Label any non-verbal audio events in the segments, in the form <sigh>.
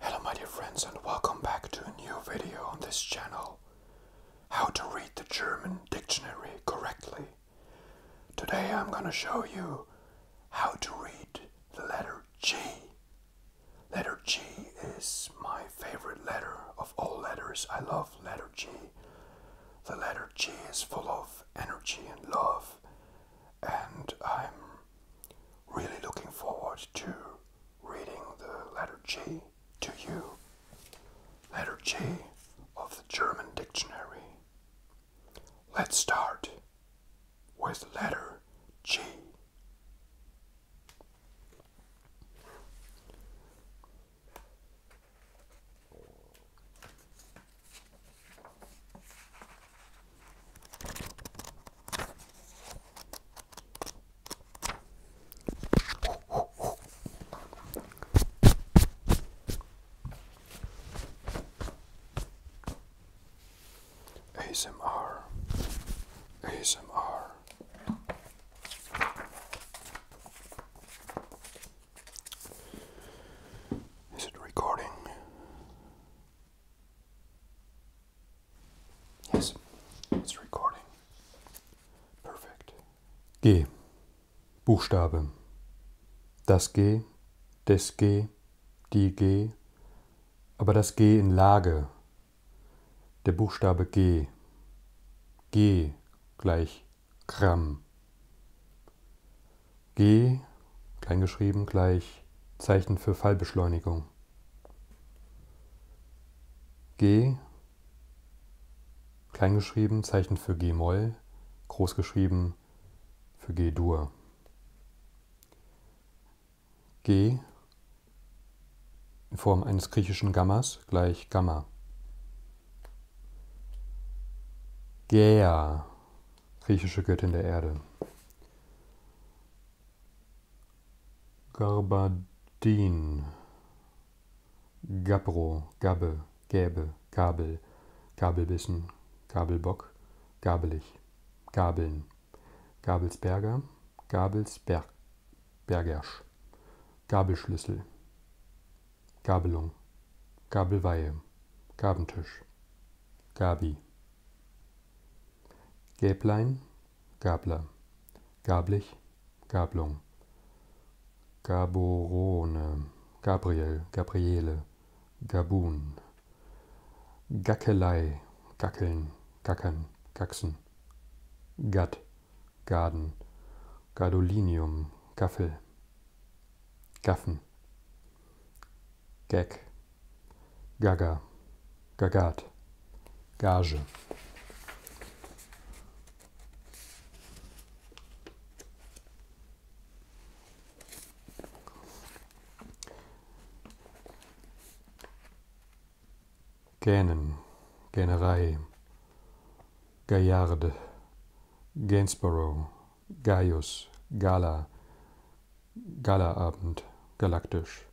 Hello my dear friends and welcome back to a new video on this channel. How to read the German dictionary correctly. Today I'm gonna show you how to read the letter G. Letter G is my favorite letter of all letters. I love letter G. The letter G is full of energy and love and I'm really looking forward to reading the letter G to you. Letter G of the German dictionary. Let's start with letter G. ASMR ASMR Is it recording? Yes, it's recording. Perfect. G. Buchstabe. Das G, des G, die G, aber das G in Lage. Der Buchstabe G. G gleich Gramm. G, kleingeschrieben, gleich Zeichen für Fallbeschleunigung. G, kleingeschrieben, Zeichen für G-Moll, großgeschrieben für G-Dur. G in Form eines griechischen Gammas gleich Gamma. Gea, griechische Göttin der Erde. Garbadin, Gabbro, Gabbe, Gäbe, Gabel, Gabelbissen, Gabelbock, Gabelich, Gabeln, Gabelsberger, Gabelsberg, Bergersch, Gabelschlüssel, Gabelung, Gabelweihe, Gabentisch, Gabi. Gäblein, Gabler, Gablich, Gablung, Gaborone, Gabriel, Gabriele, Gabun, Gackelei, Gackeln, Gackern, Gaxen, Gatt, Gaden, Gadolinium, Gaffel, Gaffen, Gag, Gaga, Gagat, Gage. Gähnen, Gähnerei, Gaillarde, Gainsborough, Gaius, Gala, Galaabend, galaktisch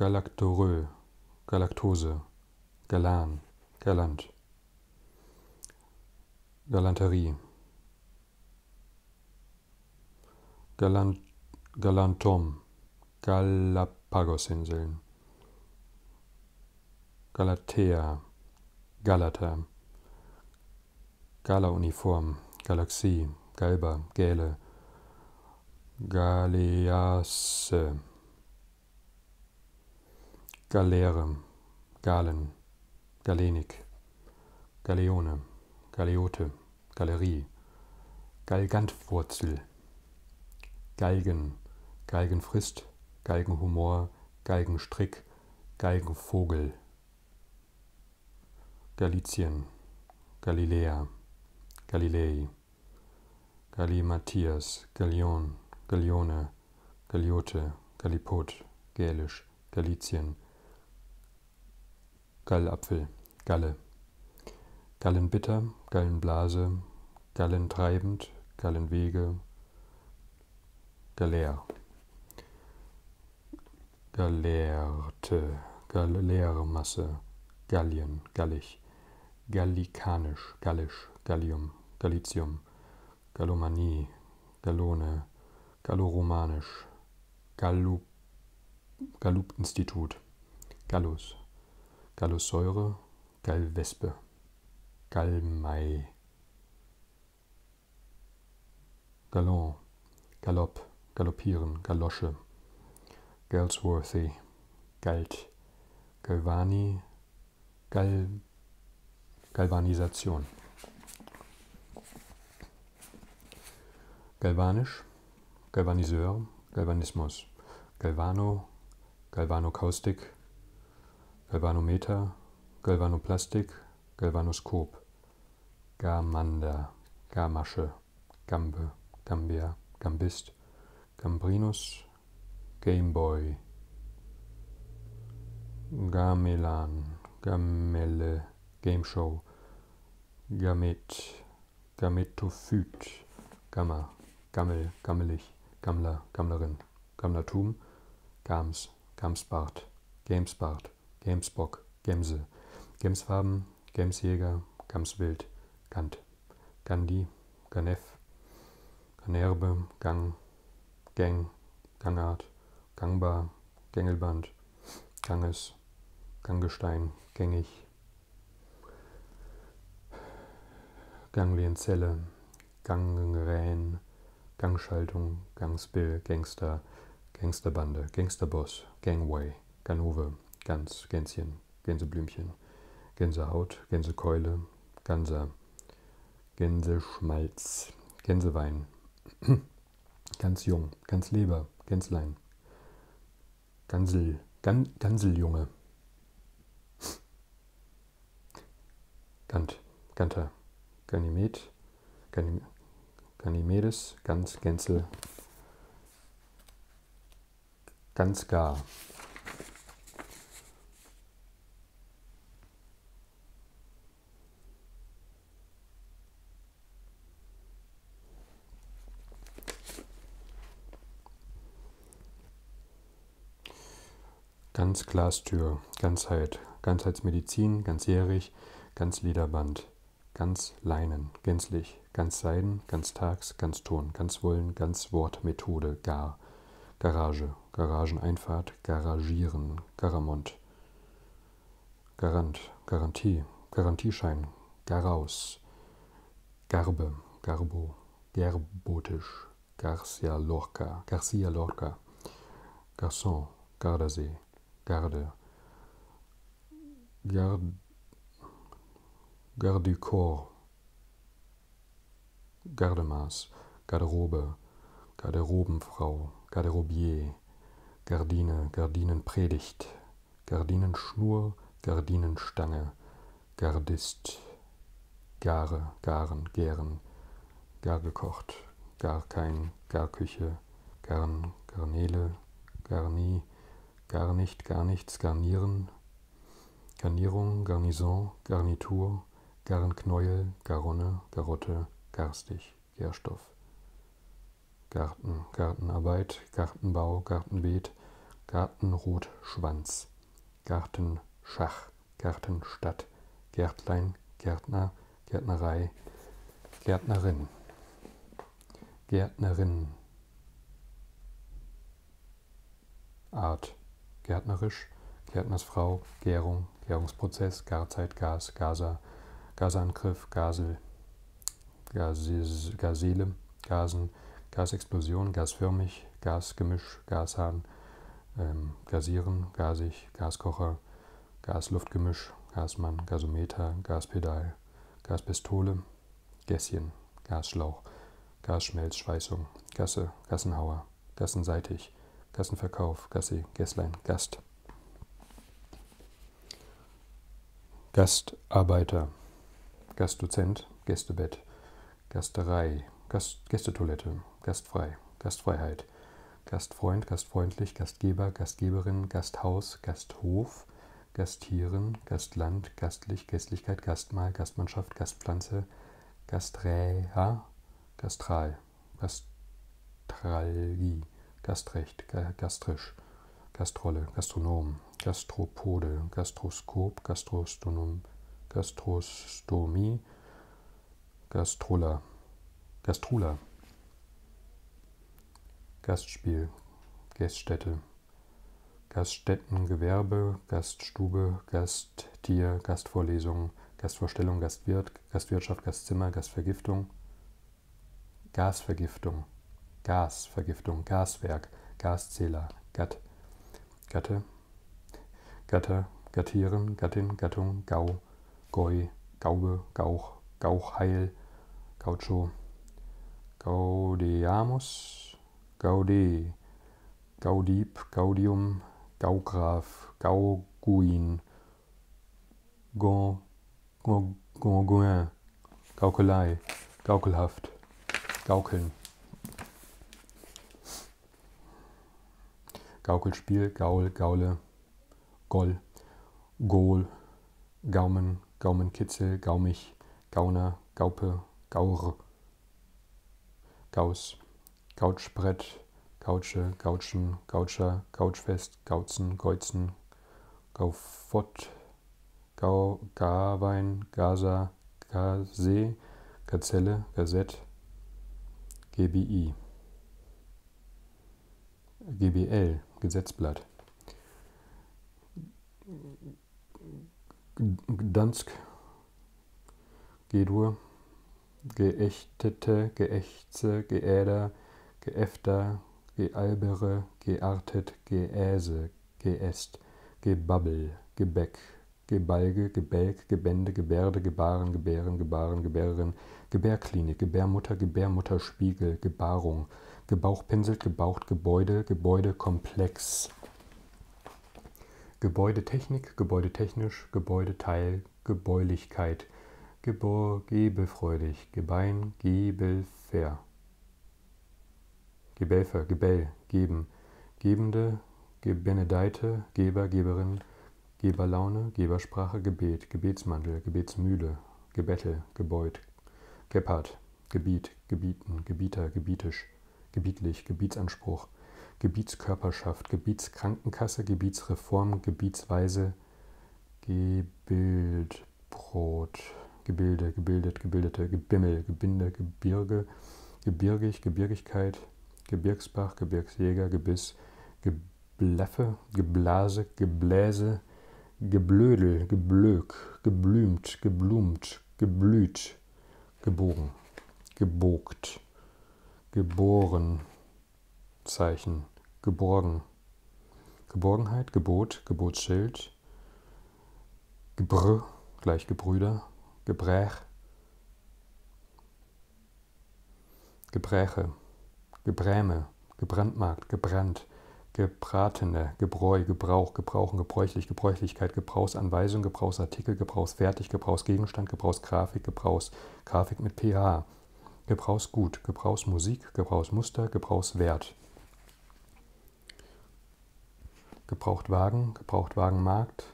galactorö, Galaktose, Galan, Galant, Galanterie, Galant, Galantom, Galapagosinseln, Galatea, Galata, Galauniform, Galaxie, Galba, Gäle, Galeasse, Galere, Galen, Galenik, Galeone, Galeote, Galerie, Galgantwurzel, Galgen, Galgenfrist, Galgenhumor, Galgenstrick, Galgenvogel. Galizien, Galiläa, Galilei, Galimathias, Galion, Galione, Galiote, Gallipot, Gälisch, Galizien, Gallapfel, Galle, Gallenbitter, Gallenblase, Gallentreibend, Gallenwege, Galer. Galeerte, galeäre Masse, Gallien, Gallig, Gallikanisch, Gallisch, Gallium, Galitium, Gallomanie, Gallone, Galloromanisch, Gallup, Gallup-Institut, Gallus, Gallussäure, Gallwespe, Gallmai, Galant, Galopp, Galoppieren, Galosche, Galsworthy, Galt, Galvani, Gal, Galvanisation. Galvanisch, Galvaniseur, Galvanismus, Galvano, Galvanokaustik, Galvanometer, Galvanoplastik, Galvanoskop. Gamanda, Gamasche, Gambe, Gambia, Gambist, Gambrinus, Gameboy, Gamelan, Gamelle, Gameshow, Gamet, Gametophyt, Gamma, Gammel, Gammelig, Gammler, Gammlerin, Gammlertum, Gams, Gamsbart, Gamesbart, Gamsbock, Gamsbock, Gemse, Gemsfarben, Gemsjäger, Gamswild, Gant, Gandhi, Ganef, Ganerbe, Gang, Gang, Gangart, Gangbar, Gängelband, Ganges, Ganggestein, Gängig, Ganglienzelle, Gangrän, Gangschaltung, Gangspill, Gangster, Gangsterbande, Gangsterboss, Gangway. Ganove, Gans, Gänschen, Gänseblümchen, Gänsehaut, Gänsekeule, Ganser, Gänseschmalz, Gänsewein, <clears throat> ganz jung, ganz Leber, Gänslein, Gansel, Gan, Ganseljunge, Gant, Ganter, Ganymed, Ganymed, Ganymedes, ganz Gänzel, ganz gar. Ganz Glastür, Ganzheit, Ganzheitsmedizin, ganzjährig, ganz Lederband ganz Leinen, gänzlich, ganz Seiden, ganz Tags, ganz Ton, ganz Wollen, ganz Wort, Methode, Gar, Garage, Garageneinfahrt, Garagieren, Garamond, Garant, Garantie, Garantieschein, Garaus, Garbe, Garbo, Gerbotisch, Garcia Lorca, Garcia Lorca, Garçon, Gardasee, Garde. Garde. Garde du Corps. Gardemaß. Garderobe. Garderobenfrau. Garderobier. Gardine. Gardinenpredigt. Gardinenschnur. Gardinenstange. Gardist. Gare. Garen. Gären. Gar gekocht. Gar kein. Garküche. Garn, Garnele, Garni, Gar nicht, gar nichts, Garnieren, Garnierung, Garnison, Garnitur, Garnknäuel, Garonne, Garotte, Garstig, Gärstoff. Garten, Gartenarbeit, Gartenbau, Gartenbeet, Gartenrotschwanz, Gartenschach, Gartenstadt, Gärtlein, Gärtner, Gärtnerei, Gärtnerin. Gärtnerin. Art. Gärtnerisch, Gärtnersfrau, Gärung, Gärungsprozess, Garzeit, Gas, Gaser, Gasangriff, Gasel, Gases, Gasele, Gasen, Gasexplosion, gasförmig, Gasgemisch, Gashahn, ähm, Gasieren, Gasig, Gaskocher, Gasluftgemisch, Gasmann, Gasometer, Gaspedal, Gaspistole, Gässchen, Gasschlauch, Gasschmelzschweißung, Gasse, Gassenhauer, Gassenseitig, Gassenverkauf, Gassi, Gässlein, Gast. Gastarbeiter, Gastdozent, Gästebett, Gasterei, Gast, Gästetoilette, Gastfrei, Gastfreiheit, Gastfreund, Gastfreundlich, Gastgeber, Gastgeberin, Gasthaus, Gasthof, Gastieren, Gastland, Gastlich, Gästlichkeit, Gastmahl, Gastmannschaft, Gastpflanze, Gasträa, Gastral, Gastralgie, Gastrecht, Gastrisch, Gastrolle, Gastronom, Gastropode, Gastroskop, Gastrostonom, Gastrostomie, Gastrola, Gastrula. Gastspiel, Gaststätte, Gaststättengewerbe, Gaststube, Gasttier, Gastvorlesung, Gastvorstellung, Gastwirt, Gastwirtschaft, Gastzimmer, Gastvergiftung, Gasvergiftung, Gasvergiftung, Gaswerk, Gaszähler, Gatt, Gatte, Gatter, Gattieren, Gattin, Gattung, Gau, Goi, Gaube, Gauch, Gauchheil, Gaucho. Gaudeamus. Gaude. Gaudib. Gaudium. Gaugraf. Gauguin. Gon. Gon. Gonguin. Gaukelei. Gaukelhaft. Gaukeln. Gaukelspiel, Gaul, Gaule, Goll, Gohl, Gaumen, Gaumenkitzel, Gaumich, Gauner, Gaupe, Gaur, Gaus, Couchbrett, Couche, Couchen, Coucher, Couchfest, Gauzen, Geuzen, Gaufott, Gau, Garwein, Gaza, Gase, Gazelle, Gazette, GBI. GBL, Gesetzblatt. Gdansk, Gedur, Geächtete, Geächze, Geäder, Geäfter, Gealbere, Geartet, Geäse, Geäst, Gebabbel, Gebäck, Gebalge, Gebälk, Gebände, Gebärde, Gebaren, Gebären, Gebaren, Gebären, Gebärklinik, Gebärmutter, Gebärmutterspiegel, Gebarung, gebauchpinselt, gebaucht, Gebäude, Gebäudekomplex. Gebäudetechnik, gebäudetechnisch, Gebäudeteil, Gebäulichkeit, Gebor, gebelfreudig, Gebein, Gebelfer. Gebelfer, Gebell, geben, Gebende, Gebenedeite, Geber, Geberin, Geberlaune, Gebersprache, Gebet, Gebetsmantel, Gebetsmühle, Gebettel, Gebeut, Gebhardt, Gebiet, Gebieten, Gebieter, Gebietisch, Gebietlich, Gebietsanspruch, Gebietskörperschaft, Gebietskrankenkasse, Gebietsreform, Gebietsweise, Gebildbrot, Gebilde, gebildet, gebildete, Gebimmel, Gebinde, Gebirge, Gebirgig, Gebirgigkeit, Gebirgsbach, Gebirgsjäger, Gebiss, Gebleffe, Geblase, Gebläse, Geblödel, geblök, geblümt, geblumt, geblüht, gebogen, gebogt, geboren, Zeichen, geborgen, Geborgenheit, Gebot, Gebotsschild, Gebrr, gleich Gebrüder, Gebrech, Gebräche, Gebräme, gebrandmarkt, gebrannt, gebratene, Gebräu, Gebrauch, Gebrauchen, Gebräuchlich, Gebräuchlichkeit, Gebrauchsanweisung, Gebrauchsartikel, Gebrauchsfertig, Gebrauchsgegenstand, Gebrauchsgrafik, Gebrauchs, Grafik mit pH, Gebrauchsgut, Gebrauchsmusik, Gebrauchsmuster, Gebrauchswert. Gebrauchtwagen, Gebrauchtwagenmarkt,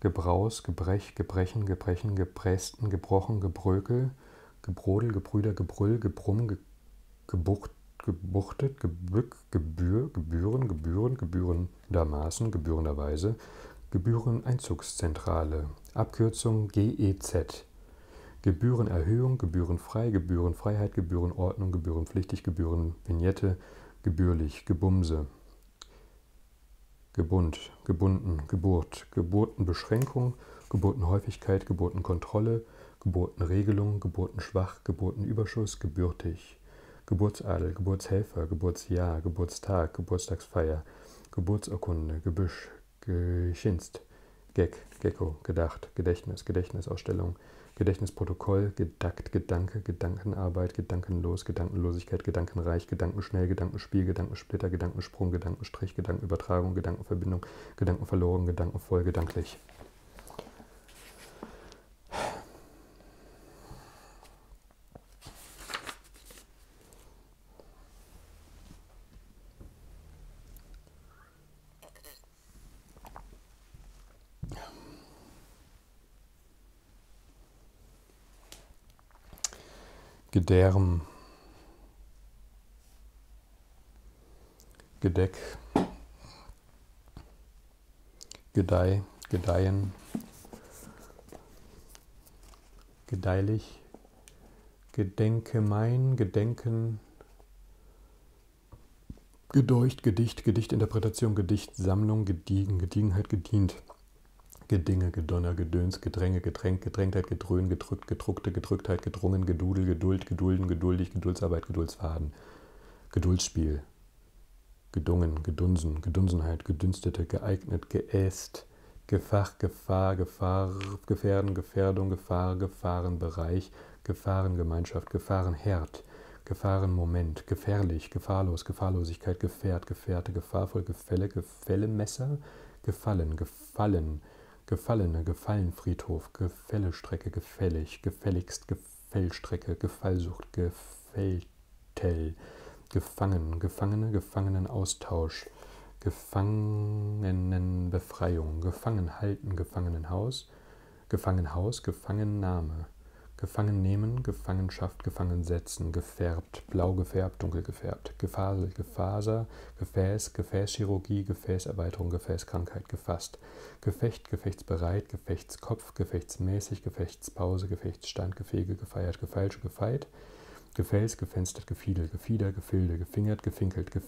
Gebraus, Gebrech, Gebrechen, Gebrechen, Gepressten, Gebrochen, Gebrökel, Gebrodel, Gebrüder, Gebrüll, Gebrumm, ge, Gebucht, Gebuchtet, Gebück, Gebühr, Gebühren, Gebühren, Gebührendermaßen, Gebührenderweise, Gebühreneinzugszentrale, Abkürzung GEZ. Gebührenerhöhung, gebührenfrei, Gebührenfreiheit, Gebührenordnung, gebührenpflichtig, Gebührenvignette, gebührlich, Gebumse. Gebund, gebunden, Geburt, Geburtenbeschränkung, Geburtenhäufigkeit, Geburtenkontrolle, Geburtenregelung, Geburtenschwach, Geburtenüberschuss, gebürtig, Geburtsadel, Geburtshelfer, Geburtsjahr, Geburtstag, Geburtstagsfeier, Geburtsurkunde, Gebüsch, Geschinst, Gag, Gecko, Gedacht, Gedächtnis, Gedächtnisausstellung, Gedächtnisprotokoll, Gedackt, Gedanke, Gedankenarbeit, Gedankenlos, Gedankenlosigkeit, Gedankenreich, Gedankenschnell, Gedankenspiel, Gedankensplitter, Gedankensprung, Gedankenstrich, Gedankenübertragung, Gedankenverbindung, Gedanken verloren, gedankenvoll, gedanklich. Gedärm. Gedeck, Gedeih, Gedeihen, Gedeihlich, Gedenke mein, Gedenken, Gedeucht, Gedicht, Gedichtinterpretation, Gedichtsammlung, Gediegen, Gediegenheit, Gedient, Gedinge, Gedonner, Gedöns, Gedränge, Getränk, Gedrängtheit, Gedröhn, Getröst, gedrückt, gedruckte, gedrücktheit, gedrungen, gedudel, geduld, gedulden, geduldig, Geduldsarbeit, Geduldsfaden, Geduldsspiel, gedungen, gedunsen, Gedunsenheit, gedünstete, geeignet, geäst, Gefach, Gefahr, Gefahr, Gefährden, Gefährdung, Gefahr, Gefahrenbereich, Gefahrengemeinschaft, Gefahrenherd, Gefahrenmoment, gefährlich, gefahrlos, Gefahrlosigkeit, Gefährt, Gefährte, Gefahrvoll, Gefälle, Gefällemesser, Gefallen, Gefallen, Gefallene, Gefallenfriedhof, Gefällestrecke, Gefällig, Gefälligst, Gefällstrecke, Gefallsucht, Gefälltel, Gefangen, Gefangene, Gefangenenaustausch, Gefangenenbefreiung, Gefangenhalten, Gefangenenhaus, Gefangenhaus, Gefangennahme, Gefangennehmen, Gefangenschaft, Gefangensetzen, gefärbt, blau gefärbt, dunkel gefärbt, Gefasel, Gefaser, Gefäß, Gefäßchirurgie, Gefäßerweiterung, Gefäßkrankheit gefasst. Gefecht, gefechtsbereit, Gefechtskopf, gefechtsmäßig, Gefechtspause, Gefechtsstand, Gefege, gefeiert, gefeilsche, gefeit. Gefäß, gefenstert, gefiedel, gefieder, gefilde, gefingert, gefinkelt, gef,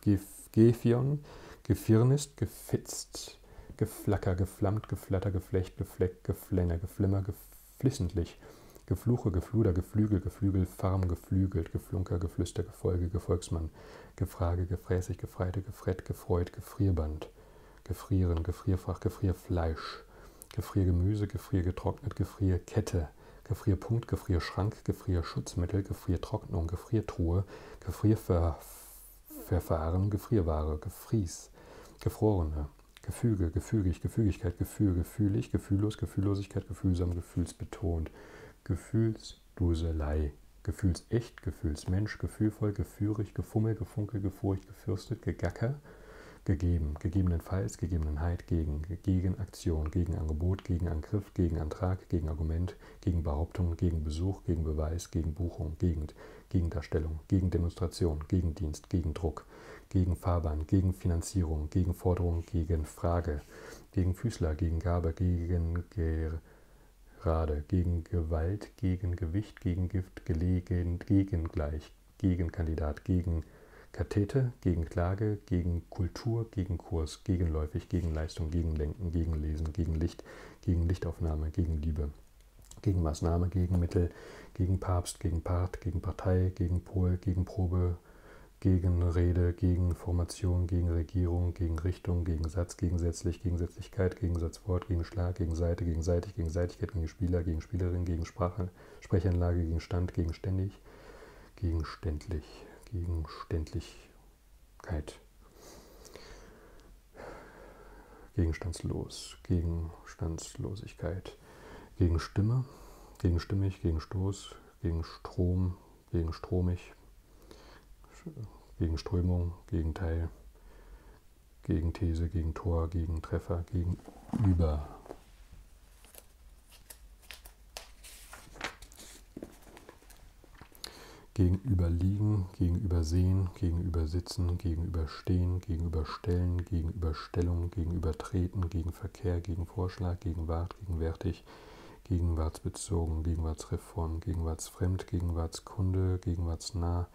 gef, gefion, gefirnist, gefitzt, geflacker, geflammt, geflatter, geflecht, gefleckt, geflenner, geflimmer, geflissentlich. Gefluche, Gefluder, Geflügel, Geflügel, Farm, Geflügelt, Geflunker, Geflüster, Gefolge, Gefolgsmann, Gefrage, Gefräßig, Gefreite, Gefrett, Gefreut, Gefrierband, Gefrieren, Gefrierfach, Gefrierfleisch, Gefriergemüse, Gefriergetrocknet, Gefrierkette, Gefrierpunkt, Gefrierschrank, Gefrierschutzmittel, Gefriertrocknung, Gefriertruhe, Gefrierverfahren, Gefrierware, Gefries, Gefrorene, Gefüge, Gefügig, Gefügigkeit, Gefühl, Gefühlig, Gefühllos, Gefühllosigkeit, Gefühlsam, Gefühlsbetont. Gefühlsduselei. Gefühlsecht, Gefühlsmensch, gefühlvoll, geführig, gefummel, gefunkel, gefurcht, gefürstet, gegacker, gegeben, gegebenenfalls, gegebenenheit, gegen, Gegenaktion, Gegenangebot, Gegenangriff, Gegenantrag, Gegenargument, Gegenbehauptung, Gegenbesuch, Gegenbeweis, Gegenbuchung, Gegend, Gegendarstellung, Gegendemonstration, Gegendienst, Gegendruck, Gegenfahrbahn, Gegenfinanzierung, Gegenforderung, Gegenfrage, gegen Füßler, gegen Gabe, gegen Gerade, gegen Gewalt, gegen Gewicht, gegen Gift, gelegen, gegen Gleich, gegen Kandidat, gegen Kathete, gegen Klage, gegen Kultur, gegen Kurs, gegenläufig, gegen Leistung, gegen Lenken, gegen Lesen, gegen Licht, gegen Lichtaufnahme, gegen Liebe, gegen Maßnahme, gegen Mittel, gegen Papst, gegen Part, gegen Partei, gegen Pol, gegen Probe, gegen Rede, gegen Formation, gegen Regierung, gegen Richtung, gegen Satz, gegensätzlich, Gegensätzlichkeit, Gegensatzwort, gegen Schlag, gegen Seite, gegenseitig, Gegenseitigkeit, gegen Spieler, gegen Spielerin, gegen Sprache, Sprechanlage, gegen Stand, gegenständig, gegenständlich, Gegenständlichkeit. Gegenstandslos, Gegenstandslosigkeit, gegen Stimme, gegen Stimmig, gegen Stoß, gegen Strom, gegen stromig, gegen Strömung, Gegenteil, gegen These, gegen Tor, gegen Treffer, gegenüber. Gegenüberliegen, gegenübersehen, gegenübersitzen, gegenüberstehen, gegenüberstellen, gegenüberstellung, gegenübertreten, gegen Verkehr, gegen Vorschlag, gegen Wart, gegenwärtig, gegenwartsbezogen, Gegenwartsreform, Gegenwartsfremd, Gegenwartskunde, Gegenwartsnah,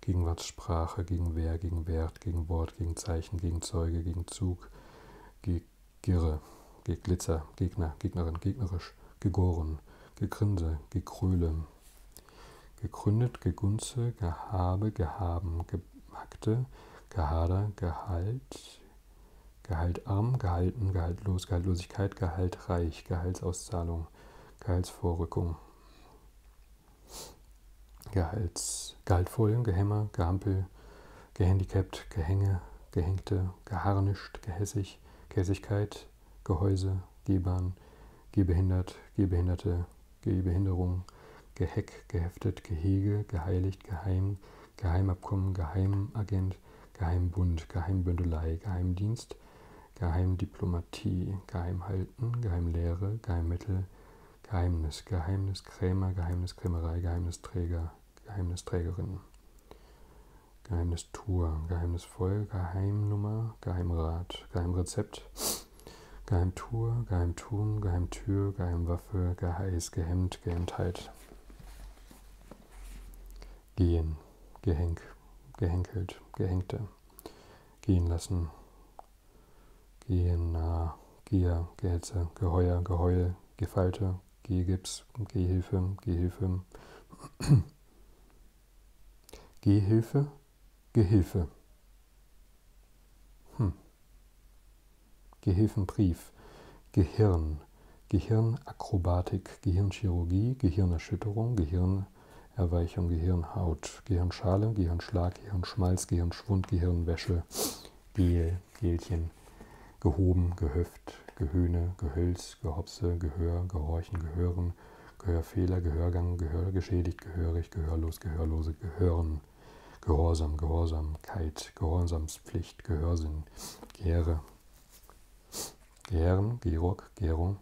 Gegenwartssprache, Gegenwehr, Gegenwert, Gegenwort, Gegenzeichen, Gegenzeuge, Gegenzug, Gegirre, Geglitzer, Gegner, Gegnerin, gegnerisch, gegoren, gegrinse, gekröle, gegründet, gegunze, gehabe, gehaben, gehackte, gehader, gehalt, Gehaltarm, Gehalten, Gehaltlos, Gehaltlosigkeit, Gehaltreich, Gehaltsauszahlung, Gehaltsvorrückung, Gehalts, Gehaltvollen, Gehämmer, Gehampel, Gehandicapt, Gehänge, Gehängte, Geharnischt, Gehässig, Gehässigkeit, Gehäuse, Gebern, Gehbehindert, Gehbehinderte, Gehbehinderung, Geheck, Geheftet, Gehege, Geheiligt, Geheim, Geheimabkommen, Geheimagent, Geheimbund, Geheimbündelei, Geheimdienst, Geheimdiplomatie, Geheimhalten, Geheimlehre, Geheimmittel, Geheimnis, Geheimniskrämer, Geheimniskrämerei, Geheimnisträger, Geheimnisträgerin, Geheimnistour, Geheimnisvoll, Geheimnummer, Geheimrat, Geheimrezept, Geheimtour, Geheimtum, Geheimtür, Geheimwaffe, Geheiß, Gehemmt, Gehemmtheit. Gehen, Gehänk, Gehenkelt, Gehängte, gehen lassen, gehen, nah, Gier, Gehetze, Geheuer, Geheul, Gefalte, Gehgips, Gehhilfe, Gehhilfe, <clears throat> Gehhilfe, Gehilfe. Hm. Gehilfenbrief, Gehirn, Gehirnakrobatik, Gehirnchirurgie, Gehirnerschütterung, Gehirnerweichung, Gehirnhaut, Gehirnschale, Gehirnschlag, Gehirnschmalz, Gehirnschwund, Gehirnwäsche, Gel, Gelchen, Gehoben, Gehöft, Gehöhne, Gehölz, Gehopse, Gehör, Gehorchen, Gehören, Gehörfehler, Gehörgang, Gehörgeschädigt, Gehörig, Gehörlos, Gehörlose, Gehören, Gehorsam, Gehorsamkeit, Gehorsamspflicht, Gehörsinn, Gehering, Gehre, Gehren, Georg, Gärung,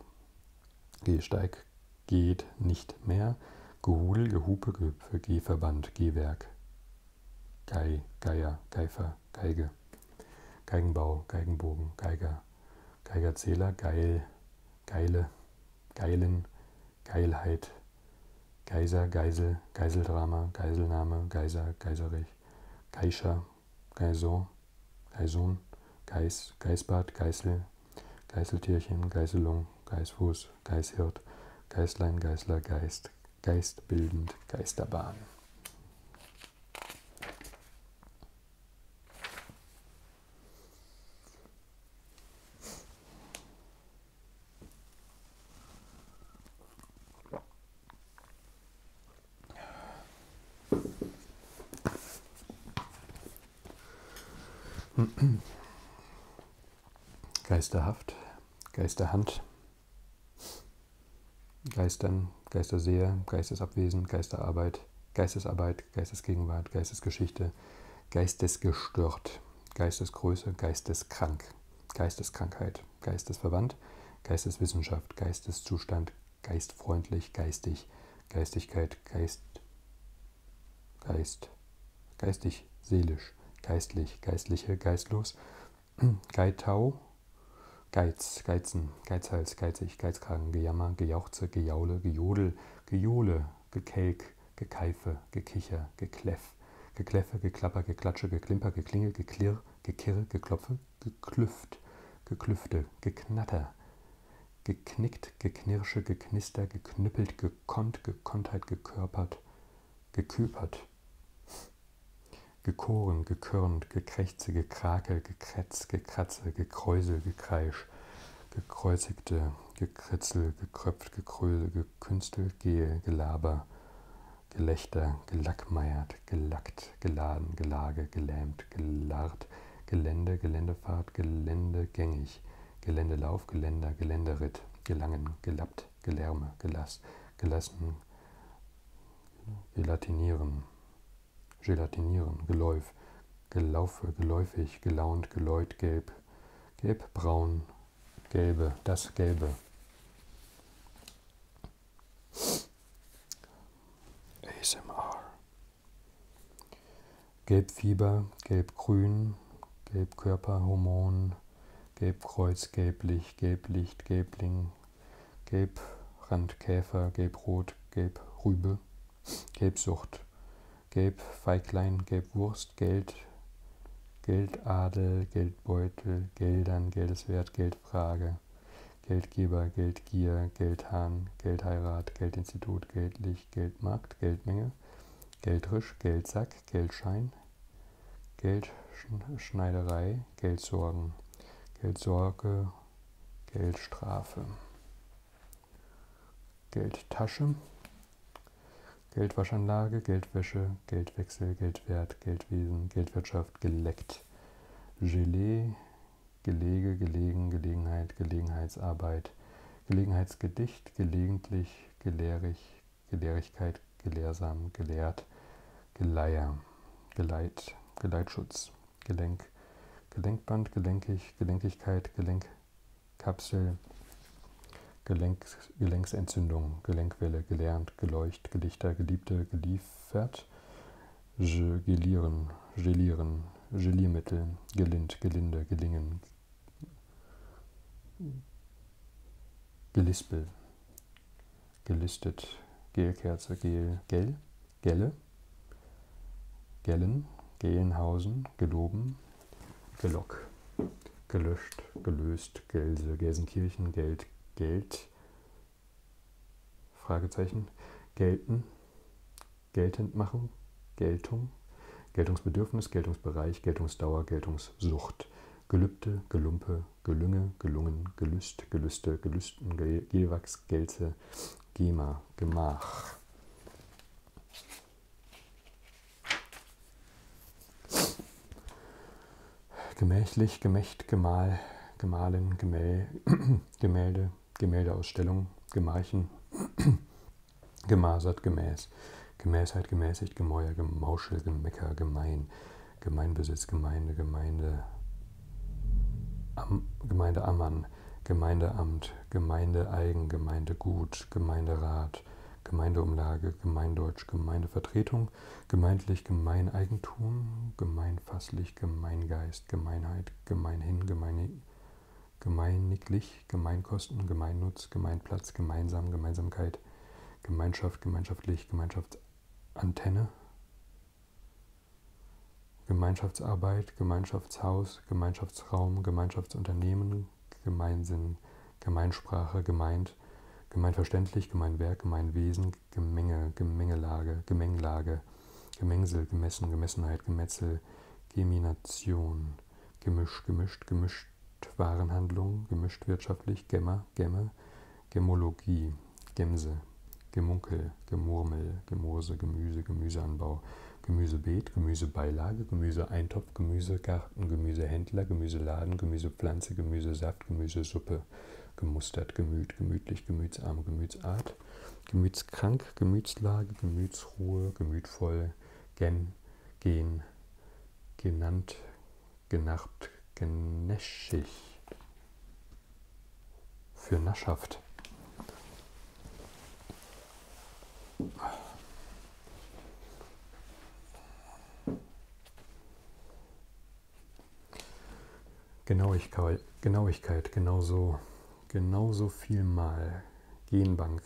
Gehsteig, geht nicht mehr, Gehudel, Gehupe, Gehüpfe, Gehverband, Gehwerk, Gei, Geier, Geifer, Geige, Geigenbau, Geigenbogen, Geiger, Geigerzähler, Geil, Geile, Geilen, Geilheit, Geiser, Geisel, Geiseldrama, Geiselnahme, Geiser, Geiserich, Geischer, Geison, Geison, Geis, Geisbad, Geißel, Geißeltierchen, Geißelung, Geißfuß, Geißhirt, Geißlein, Geißler, Geist, Geistbildend, Geisterbahn. Geisterhaft, Geisterhand, Geistern, Geisterseher, Geistesabwesen, Geisterarbeit, Geistesarbeit, Geistesgegenwart, Geistesgeschichte, Geistesgestört, Geistesgröße, Geisteskrank, Geisteskrankheit geistesverwandt, Geisteswissenschaft, Geisteszustand, geistfreundlich, geistig, Geistigkeit, Geist, Geist, geistig, seelisch, geistlich, geistliche, geistlos, <clears throat> Geitau, Geiz, Geizen, Geizhals, Geizig, Geizkragen, Gejammer, Gejauchze, Gejaule, Gejodel, Gejohle, Gekelk, Gekeife, Gekicher, Gekläff, Gekläffe, Geklapper, Geklatsche, Geklimper, Geklingel, Geklirr, Gekirre, Geklopfe, Geklüft, Geklüfte, Geknatter, Geknickt, Geknirsche, Geknister, Geknüppelt, Gekonnt, Gekonntheit, Gekörpert, Geküpert, Gekoren, Gekörnt, Gekrächze, Gekrakel, Gekretz, Gekratze, Gekräusel, Gekreisch, Gekreuzigte, Gekritzel, Gekröpft, Gekröse, Gekünstel, Gehe, Gelaber, Gelächter, gelackmeiert, gelackt, geladen, gelage, gelähmt, gelarrt, Gelände, Geländefahrt, Geländegängig, Geländelauf, Geländer, Geländeritt, gelangen, gelappt, gelärme, gelass, gelassen, gelatinieren, gelatinieren, geläuf, gelaufe, geläufig, gelaunt, geläut, gelb, gelbbraun, Gelbe, das Gelbe. ASMR. Gelbfieber, Gelbgrün, Gelbkörperhormon, Gelbkreuz, Gelblich, Gelblicht, Gelbling, Gelbrandkäfer, Gelbrot, Gelbrübe, Gelbsucht, Gelbfeiglein, Gelbwurst, Geld, Geldadel, Geld Geldbeutel, Geldern, Geldeswert, Geldfrage, Geldgeber, Geldgier, Geldhahn, Geldheirat, Geldinstitut, Geldlicht, Geldmarkt, Geldmenge, Geldrisch, Geldsack, Geldschein, Geldschneiderei, Geldsorgen, Geldsorge, Geldstrafe, Geldtasche, Geldwaschanlage, Geldwäsche, Geldwechsel, Geldwert, Geldwesen, Geldwirtschaft, geleckt. Gelee, Gelege, Gelegen, Gelegenheit, Gelegenheitsarbeit, Gelegenheitsgedicht, gelegentlich, gelehrig, Gelehrigkeit, gelehrsam, gelehrt, Geleier, Geleit, Geleitschutz, Gelenk, Gelenkband, Gelenkig, Gelenkigkeit, Gelenkkapsel, Gelenk, Gelenksentzündung, Gelenkwelle, gelernt, geleucht, gelichter, geliebte, geliefert, Je, gelieren, gelieren, Geliermittel, gelind, gelinde, gelingen, gelispel, gelistet, Gelkerze, Gel, Gel, Gelle, Gellen, Gelnhausen, geloben, gelock, gelöscht, gelöst, Geld, Gelse, äh, Gelsenkirchen, Geld, Geld, Fragezeichen, gelten, geltend machen, Geltung, Geltungsbedürfnis, Geltungsbereich, Geltungsdauer, Geltungssucht, Gelübde, Gelumpe, Gelünge, Gelungen, Gelüst, Gelüste, Gelüsten, Ge Gewachs, Gelze, Gema, Gemach. Gemächlich, Gemächt, Gemahl, Gemahlen, Gemä <clears throat> Gemälde, Gemäldeausstellung, Gemarchen, <clears throat> Gemasert, Gemäß, Gemäßheit, Gemäßigt, Gemäuer, Gemauschel, Gemecker, Gemein, Gemeinbesitz, Gemeinde, Gemeinde, Am, Gemeinde Ammann, Gemeindeamt, Gemeindeeigen, Gemeindegut, Gemeinderat, Gemeindeumlage, Gemeindeutsch, Gemeindevertretung, Ordnung, gemeindlich, Gemeineigentum, gemeinfasslich, Gemeingeist, Gemeinheit, gemeinhin, gemeine, gemeiniglich, Gemeinkosten, Gemeinnutz, Gemeinplatz, gemeinsam, Gemeinsamkeit, Gemeinschaft, gemeinschaftlich, Gemeinschaftsantenne, Gemeinschaftsarbeit, Gemeinschaftshaus, Gemeinschaftsraum, Gemeinschaftsunternehmen, Gemeinsinn, Gemeinsprache, gemeint, gemeinverständlich, Gemeinwerk, Gemeinwesen, Gemenge, Gemengelage, Gemenglage, Gemengsel, Gemessen, Gemessenheit, Gemetzel, Gemination, Gemisch, gemischt, gemischt Warenhandlung, gemischt wirtschaftlich, Gemmer, Gemme, Gemologie, Gemse, Gemunkel, Gemurmel, Gemurse, Gemüse, Gemüseanbau, Gemüsebeet, Gemüsebeilage, Gemüseeintopf, Gemüsegarten, Gemüsehändler, Gemüseladen, Gemüsepflanze, Gemüsesaft, Gemüsesuppe, ge, gemustert. Gemüt, gemütlich, gemütsarm, gemütsart, gemütskrank, Gemütslage, Gemütsruhe, gemütvoll, gen, gen, genannt, genacht, genäschig. Für Naschaft. Genauigkeit, Genauigkeit, genauso, genauso viel mal. Genbank,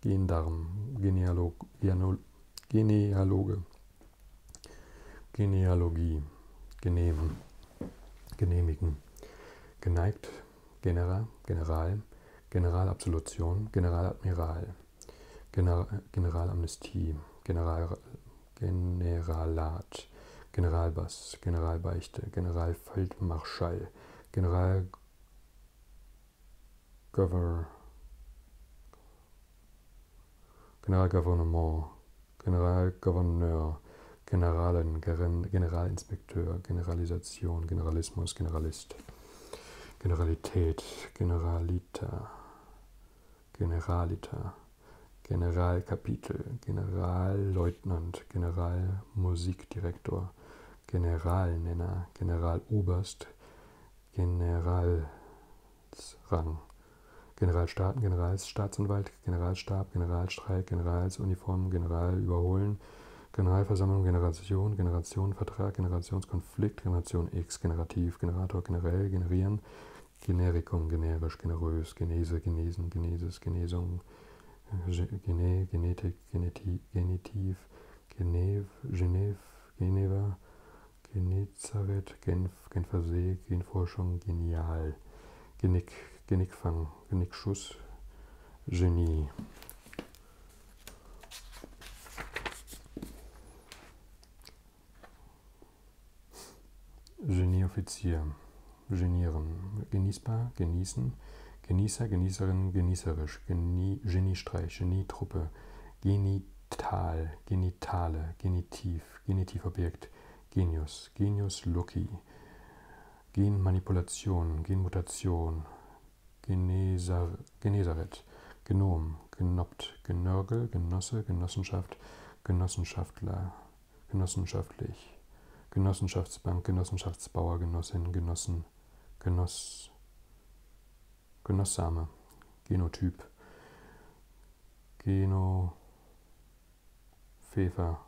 Gendarm, Genealog, Genealog Genealoge, Genealogie, Genehmen, Genehmigen, Geneigt, Genera, General, Generalabsolution, Generaladmiral. General, Generalamnestie, General, Generalat, Generalbass, Generalbeichte, Generalfeldmarschall, General Generalgouvernement, Generalgouverneur, Generalen, Generalinspekteur, Generalisation, Generalismus, Generalist, Generalität, Generalita, Generalita, Generalkapitel, Generalleutnant, Generalmusikdirektor, Generalnenner, Generaloberst, Generalsrang, Generalstaaten, Generalstaatsanwalt, Generalstab, Generalstreik, Generalsuniform, Generalüberholen, Generalversammlung, Generation, Generationenvertrag, Generationskonflikt, Generation X, Generativ, Generator, generell, generieren, Namen. Generikum, generisch, generös, Genese, genesen, Genesis, Genesung, Gene, Genetik, Geneti, Genitiv, Genev, Genev, Geneva, Genezareth, Genf, Genfersee, Genforschung, Genial, Genick, Genickfang, Genickschuss, Genie. Genieoffizier. Genieren. Genießbar, genießen. Genießer, Genießerin, genießerisch. Genie, Geniestreich, Genietruppe. Genital, Genitale, Genitiv, Genitivobjekt. Genius, Genius Loki. Genmanipulation, Genmutation. Genesaret, Genossenschaft, Genom, Genoppt, Genörgel, Genosse, Genossenschaft, Genossenschaftler, Genossenschaftlich, Genossenschaftsbank, Genossenschaftsbauer, Genossin, Genossen, Genoss, Genossame, Genotyp, Geno, Fefer,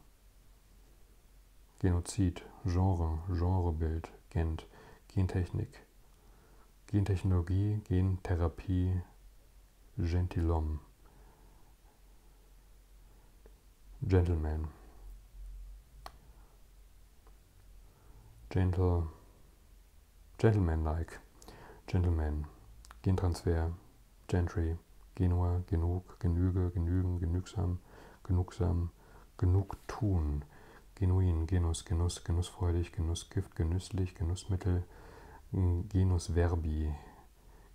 Genozid, Genre, Genrebild, Gent, Gentechnik, Gentechnologie, Gentherapie, Gentilhomme, Gentleman, Gentle, Gentleman-like, Gentleman, Gentransfer, Gentry, Genua, genug, genüge, genügen, genügsam, genugsam, genug tun, genuin, genus, genuss, genussfreudig, genuss, Abkürzungsschrift genüsslich, Genussmittel, hm, Genus Verbi,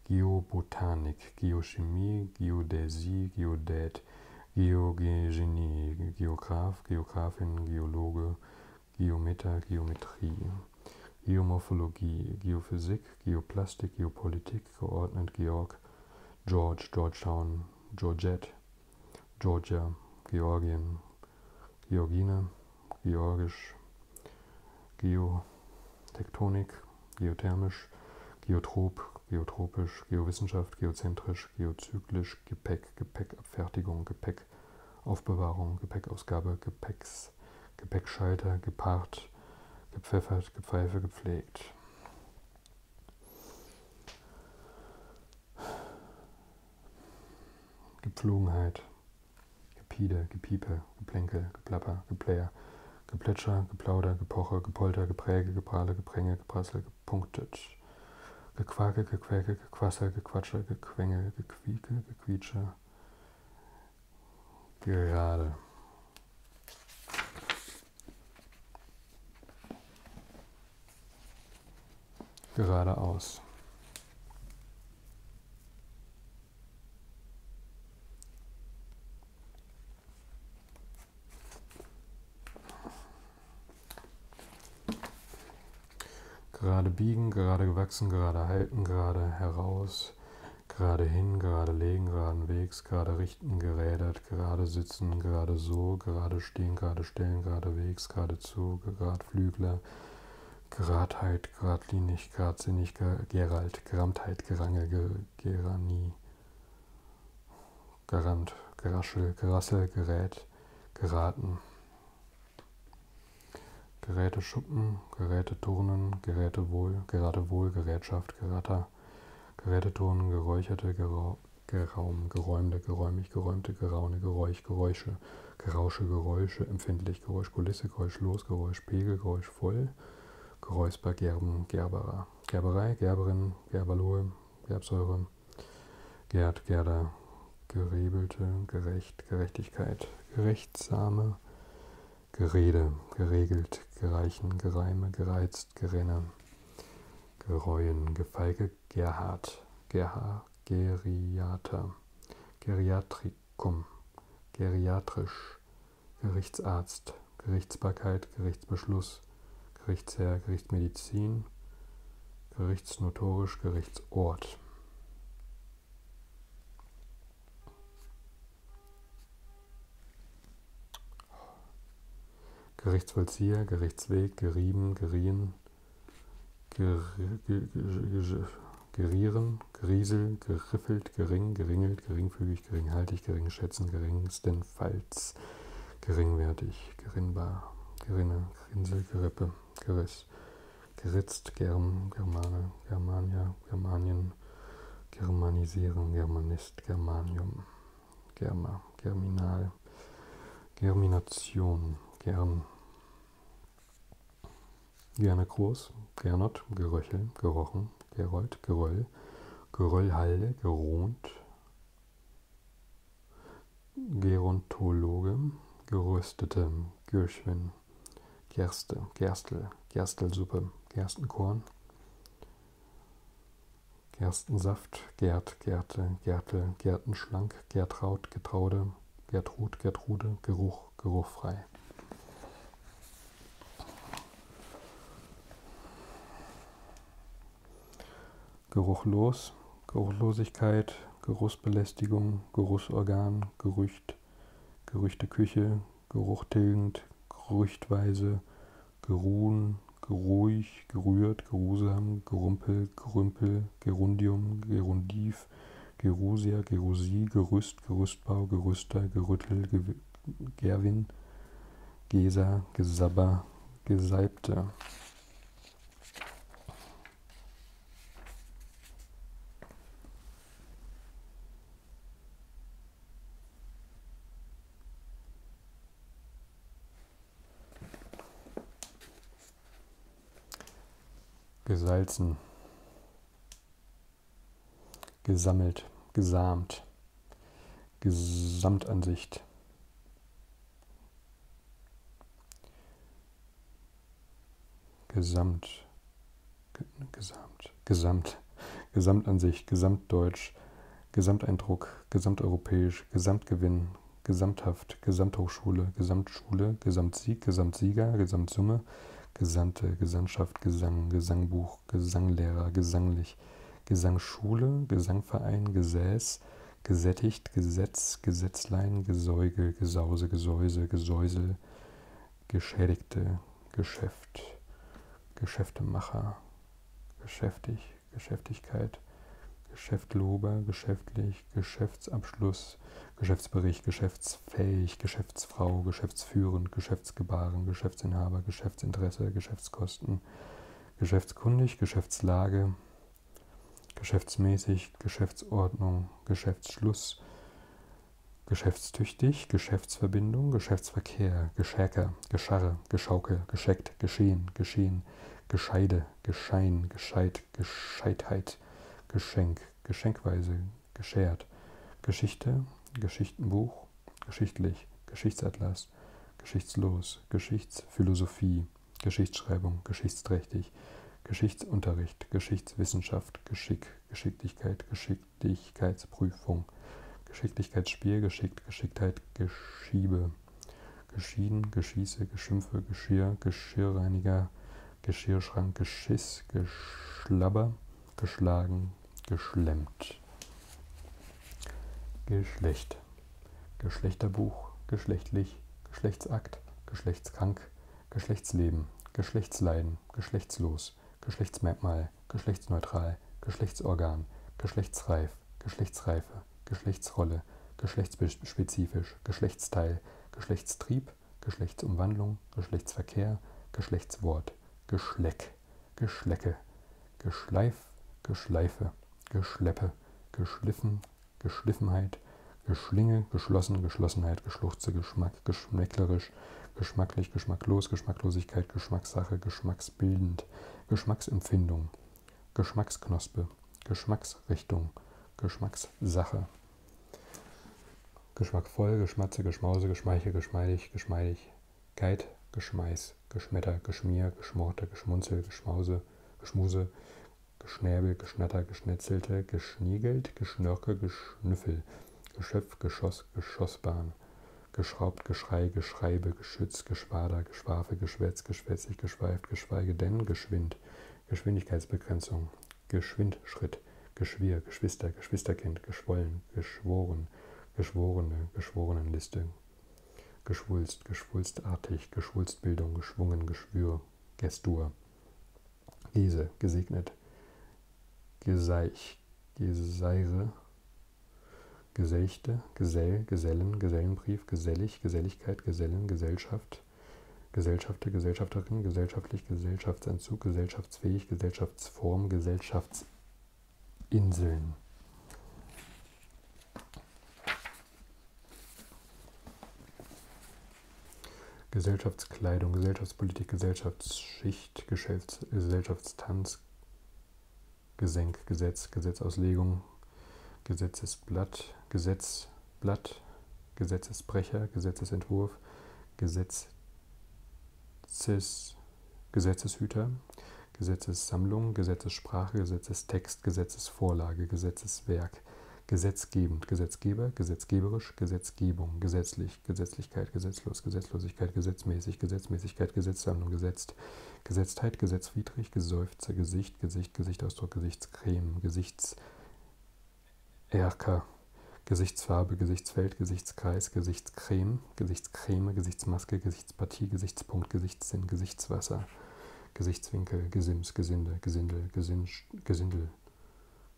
Geobotanik, Geochemie, Geodäsie, Geodät, Geogenie, Geograf, Geografin, Geologe, Geometer, Geometrie, Geomorphologie, Geophysik, Geoplastik, Geopolitik, geordnet Georg, George, Georgetown, Georgette, Georgia, Georgien, Georgine, Georgisch, Geotektonik, Geothermisch, Geotrop, Geotropisch, Geowissenschaft, Geozentrisch, Geozyklisch, Gepäck, Gepäckabfertigung, Gepäckaufbewahrung, Gepäckausgabe, Gepäcks, Gepäckschalter, Gepaart, Gepfeffert, Gepfeife, gepflegt. Gepflogenheit, Gepide, Gepiepe, Geplänkel, Geplapper, Geplayer, Geplätscher, Geplauder, Gepoche, Gepolter, Gepräge, Geprahle, Gepränge, Geprassel, Gepunktet, Gequake, Gequäke, Gequassel, Gequatsche, Gequengel, Gequieke, Gequietsche, Gerade geradeaus. Gerade biegen, gerade gewachsen, gerade halten, gerade heraus, gerade hin, gerade legen, geraden Wegs, gerade richten, gerädert, gerade sitzen, gerade so, gerade stehen, gerade stellen, gerade Wegs, gerade zu, gerade Flügler, Gradheit, Gradlinig, Gradsinnig, Gerald, Geramtheit, Gerange, Gerani, Garant, Geraschel, Gerassel, Gerät, Geraten. Geräte Schuppen, Geräte Turnen, Geräte Wohl, Gerate Wohl, Gerätschaft, Geratter, Geräte Turnen, Geräucherte, Gerau, Geraum, Geräumte, Geräumig, Geräumte, Geraune, Geräusch, Geräusche, Geräusche. Gerausche, Geräusche, empfindlich, Geräusch, Kulisse, Geräusch, los, Geräusch, Pegel, Geräusch, voll, Geräusper, Gerben, Gerberer, Gerberei, Gerberin, Gerberlohe, Gerbsäure, Gerd, Gerda, Gerebelte, Gerecht, Gerechtigkeit, Gerechtsame, Gerede, geregelt, gereichen, gereime, gereizt, gerenne, gereuen, gefeige, Gerhard, Gerha, Geriater, Geriatrikum, geriatrisch, Gerichtsarzt, Gerichtsbarkeit, Gerichtsbeschluss, Gerichtsherr, Gerichtsmedizin, Gerichtsnotorisch, Gerichtsort. Gerichtsvollzieher, Gerichtsweg, gerieben, gerien, gerieren, geriesel, geriffelt, gering, geringelt, geringfügig, geringhaltig, geringschätzen, geringstenfalls, geringwertig, gerinnbar, gerinne, grinsel, gerippe, geriss, geritzt, germ, germane, germania, germanien, germanisieren, germanist, germanium, germa, germinal, germination, gern, Gerner Groß, Gernot, Geröchel, Gerochen, Gerold, Geröll, Geröllhalde, Geront, Gerontologe, Geröstete, Gürschwin, Gerste, Gerstel, Gerstelsuppe, Gerstenkorn, Gerstensaft, Gerd, Gerte, Gertel, Gertenschlank, Gertraut, Getraude, Gertrud, Gertrude, Geruch, geruchfrei. Geruchlos, Geruchlosigkeit, Geruchsbelästigung, Geruchsorgan, Gerücht, Gerüchte Küche, Geruch tilgend, gerüchtweise, geruhen, geruhig, gerührt, geruhsam, gerumpel, gerümpel, Gerundium, Gerundiv, Gerusia, Gerusie, Gerüst, Gerüstbau, Gerüster, Gerüttel, Ge Gerwin, Gesa, Gesabber, Gesalbte gesalzen, gesammelt, gesamt, Gesamtansicht. Gesamt, Gesamt, Gesamt, Gesamtansicht, Gesamtdeutsch, Gesamteindruck, Gesamteuropäisch, Gesamtgewinn, Gesamthaft, Gesamthochschule, Gesamtschule, Gesamtsieg, Gesamtsieger, Gesamtsumme, Gesandte, Gesandtschaft, Gesang, Gesangbuch, Gesanglehrer, Gesanglich, Gesangsschule, Gesangverein, Gesäß, Gesättigt, Gesetz, Gesetzlein, Gesäuge, Gesause, Gesäuse, Gesäusel, Geschädigte, Geschäft, Geschäftemacher, Geschäftig, Geschäftigkeit, Geschäftlober, geschäftlich, Geschäftsbericht, Geschäftsabschluss, Geschäftsbericht, Geschäftsfähig, Geschäftsfrau, Geschäftsführend, Geschäftsgebaren, Geschäftsinhaber, Geschäftsinteresse, Geschäftskosten, Geschäftskundig, Geschäftslage, Geschäftsmäßig, Geschäftsordnung, Geschäftsschluss, Geschäftstüchtig, Geschäftsverbindung, Geschäftsverkehr, Geschäker, Gescharre, Geschauke, Gescheckt, Geschehen, Geschehen, Gescheide, Geschein, Gescheit, Gescheitheit, Geschenk, Geschenkweise, Geschert, Geschichte, Geschichtenbuch, Geschichtlich, Geschichtsatlas, Geschichtslos, Geschichtsphilosophie, Geschichtsschreibung, Geschichtsträchtig, Geschichtsunterricht, Geschichtswissenschaft, Geschick, Geschicklichkeit, Geschicklichkeitsprüfung, Geschicklichkeitsspiel, Geschickt, Geschicktheit, Geschiebe, Geschieden, Geschieße, Geschimpfe, Geschirr, Geschirrreiniger, Geschirrschrank, Geschiss, Geschlabber, geschlagen, geschlemmt. Geschlecht. Geschlechterbuch, geschlechtlich, Geschlechtsakt, Geschlechtskrank, Geschlechtsleben, Geschlechtsleiden, geschlechtslos, Geschlechtsmerkmal, geschlechtsneutral, Geschlechtsorgan, geschlechtsreif, Geschlechtsreife, Geschlechtsrolle, geschlechtsspezifisch, Geschlechtsteil, Geschlechtstrieb, Geschlechtsumwandlung, Geschlechtsverkehr, Geschlechtswort, Geschleck, Geschlecke, Geschleif, Geschleife, Geschleppe, Geschliffen, Geschliffenheit, Geschlinge, geschlossen, Geschlossenheit, Geschluchze, Geschmack, geschmäcklerisch, geschmacklich, geschmacklos, Geschmacklosigkeit, Geschmackssache, geschmacksbildend, Geschmacksempfindung, Geschmacksknospe, Geschmacksrichtung, Geschmackssache, Geschmackvoll, Geschmatze, Geschmause, Geschmeiche, Geschmeidig, Geschmeidigkeit, Geschmeiß, Geschmetter, Geschmier, Geschmorte, Geschmunzel, Geschmause, Geschmuse, Geschnäbel, Geschnatter, Geschnetzelte, Geschniegelt, Geschnörke, Geschnüffel, Geschöpf, Geschoss, Geschossbahn, Geschraubt, Geschrei, Geschreibe, Geschütz, Geschwader, Geschwafe, Geschwätz, Geschwätzig, Geschweift, Geschweige denn, Geschwind, Geschwindigkeitsbegrenzung, Geschwindschritt, Geschwir, Geschwister, Geschwisterkind, Geschwollen, Geschworen, Geschworene, Geschworenenliste, Geschwulst, Geschwulstartig, Geschwulstbildung, Geschwungen, Geschwür, Gestur, Gese, Gesegnet, Geseich, Geseire, Gesächte, Gesell, Gesellen, Gesellenbrief, Gesellig, Geselligkeit, Gesellen, Gesellschaft, Gesellschafter, Gesellschafterin, gesellschaftlich, Gesellschaftsentzug, gesellschaftsfähig, Gesellschaftsform, Gesellschaftsinseln. Gesellschaftskleidung, Gesellschaftspolitik, Gesellschaftsschicht, Geschäfts-, Gesellschaftstanz, Gesenk, Gesetz, Gesetzauslegung, Gesetzesblatt, Gesetzblatt, Gesetzesbrecher, Gesetzesentwurf, Gesetzes, Gesetzeshüter, Gesetzessammlung, Gesetzessprache, Gesetzestext, Gesetzesvorlage, Gesetzeswerk, gesetzgebend, Gesetzgeber, gesetzgeberisch, Gesetzgebung, gesetzlich, Gesetzlichkeit, gesetzlos, Gesetzlosigkeit, gesetzmäßig, Gesetzmäßigkeit, Gesetzsammlung, gesetzt, gesetztheit, gesetzwidrig, Geseufze, Gesicht, Gesicht, Gesichtsausdruck, Gesichtscreme, Gesichts ERK, Gesichtsfarbe, Gesichtsfeld, Gesichtskreis, Gesichtscreme, Gesichtscreme, Gesichtsmaske, Gesichtspartie, Gesichtspunkt, Gesichtssinn, Gesichtswasser, Gesichtswinkel, Gesims, Gesinde, Gesindel, Gesinsch, Gesindel,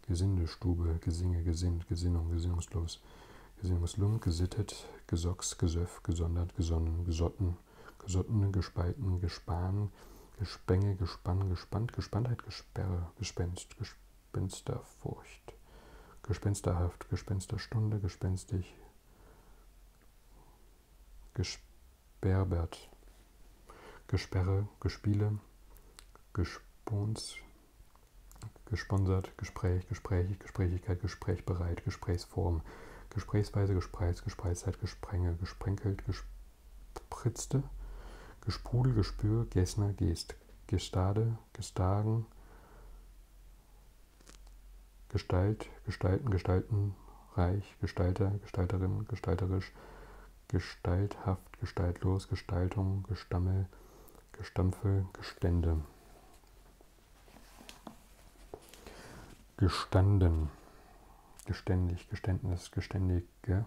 Gesindestube, Gesinge, Gesind, Gesinnung, Gesinnungslos, Gesinnungslung, Gesittet, Gesocks, Gesöff, Gesondert, Gesonnen, Gesotten, Gesottene, Gespalten, Gespan, Gespenge, Gespann, Gespannt, Gespanntheit, Gesperre, Gespenst, Gespensterfurcht, Gespensterhaft, Gespensterstunde, Gespenstig, Gesperbert, Gesperre, Gespiele, Gespons, gesponsert, Gespräch, Gesprächig, Gesprächigkeit, Gesprächbereit, Gesprächsform, Gesprächsweise, Gespreis, Gespreiszeit, Gesprenge, gesprenkelt, gesprenkelt, spritzte. Gesprudel, Gespür, Gessner, Gest, Gestade, Gestagen, Gestalt, Gestalten, Gestalten, Reich, Gestalter, Gestalterin, Gestalterisch, Gestalthaft, Gestaltlos, Gestaltung, Gestammel, Gestampfe, Gestände. Gestanden. Geständig, Geständnis, geständig, Gestick, gell?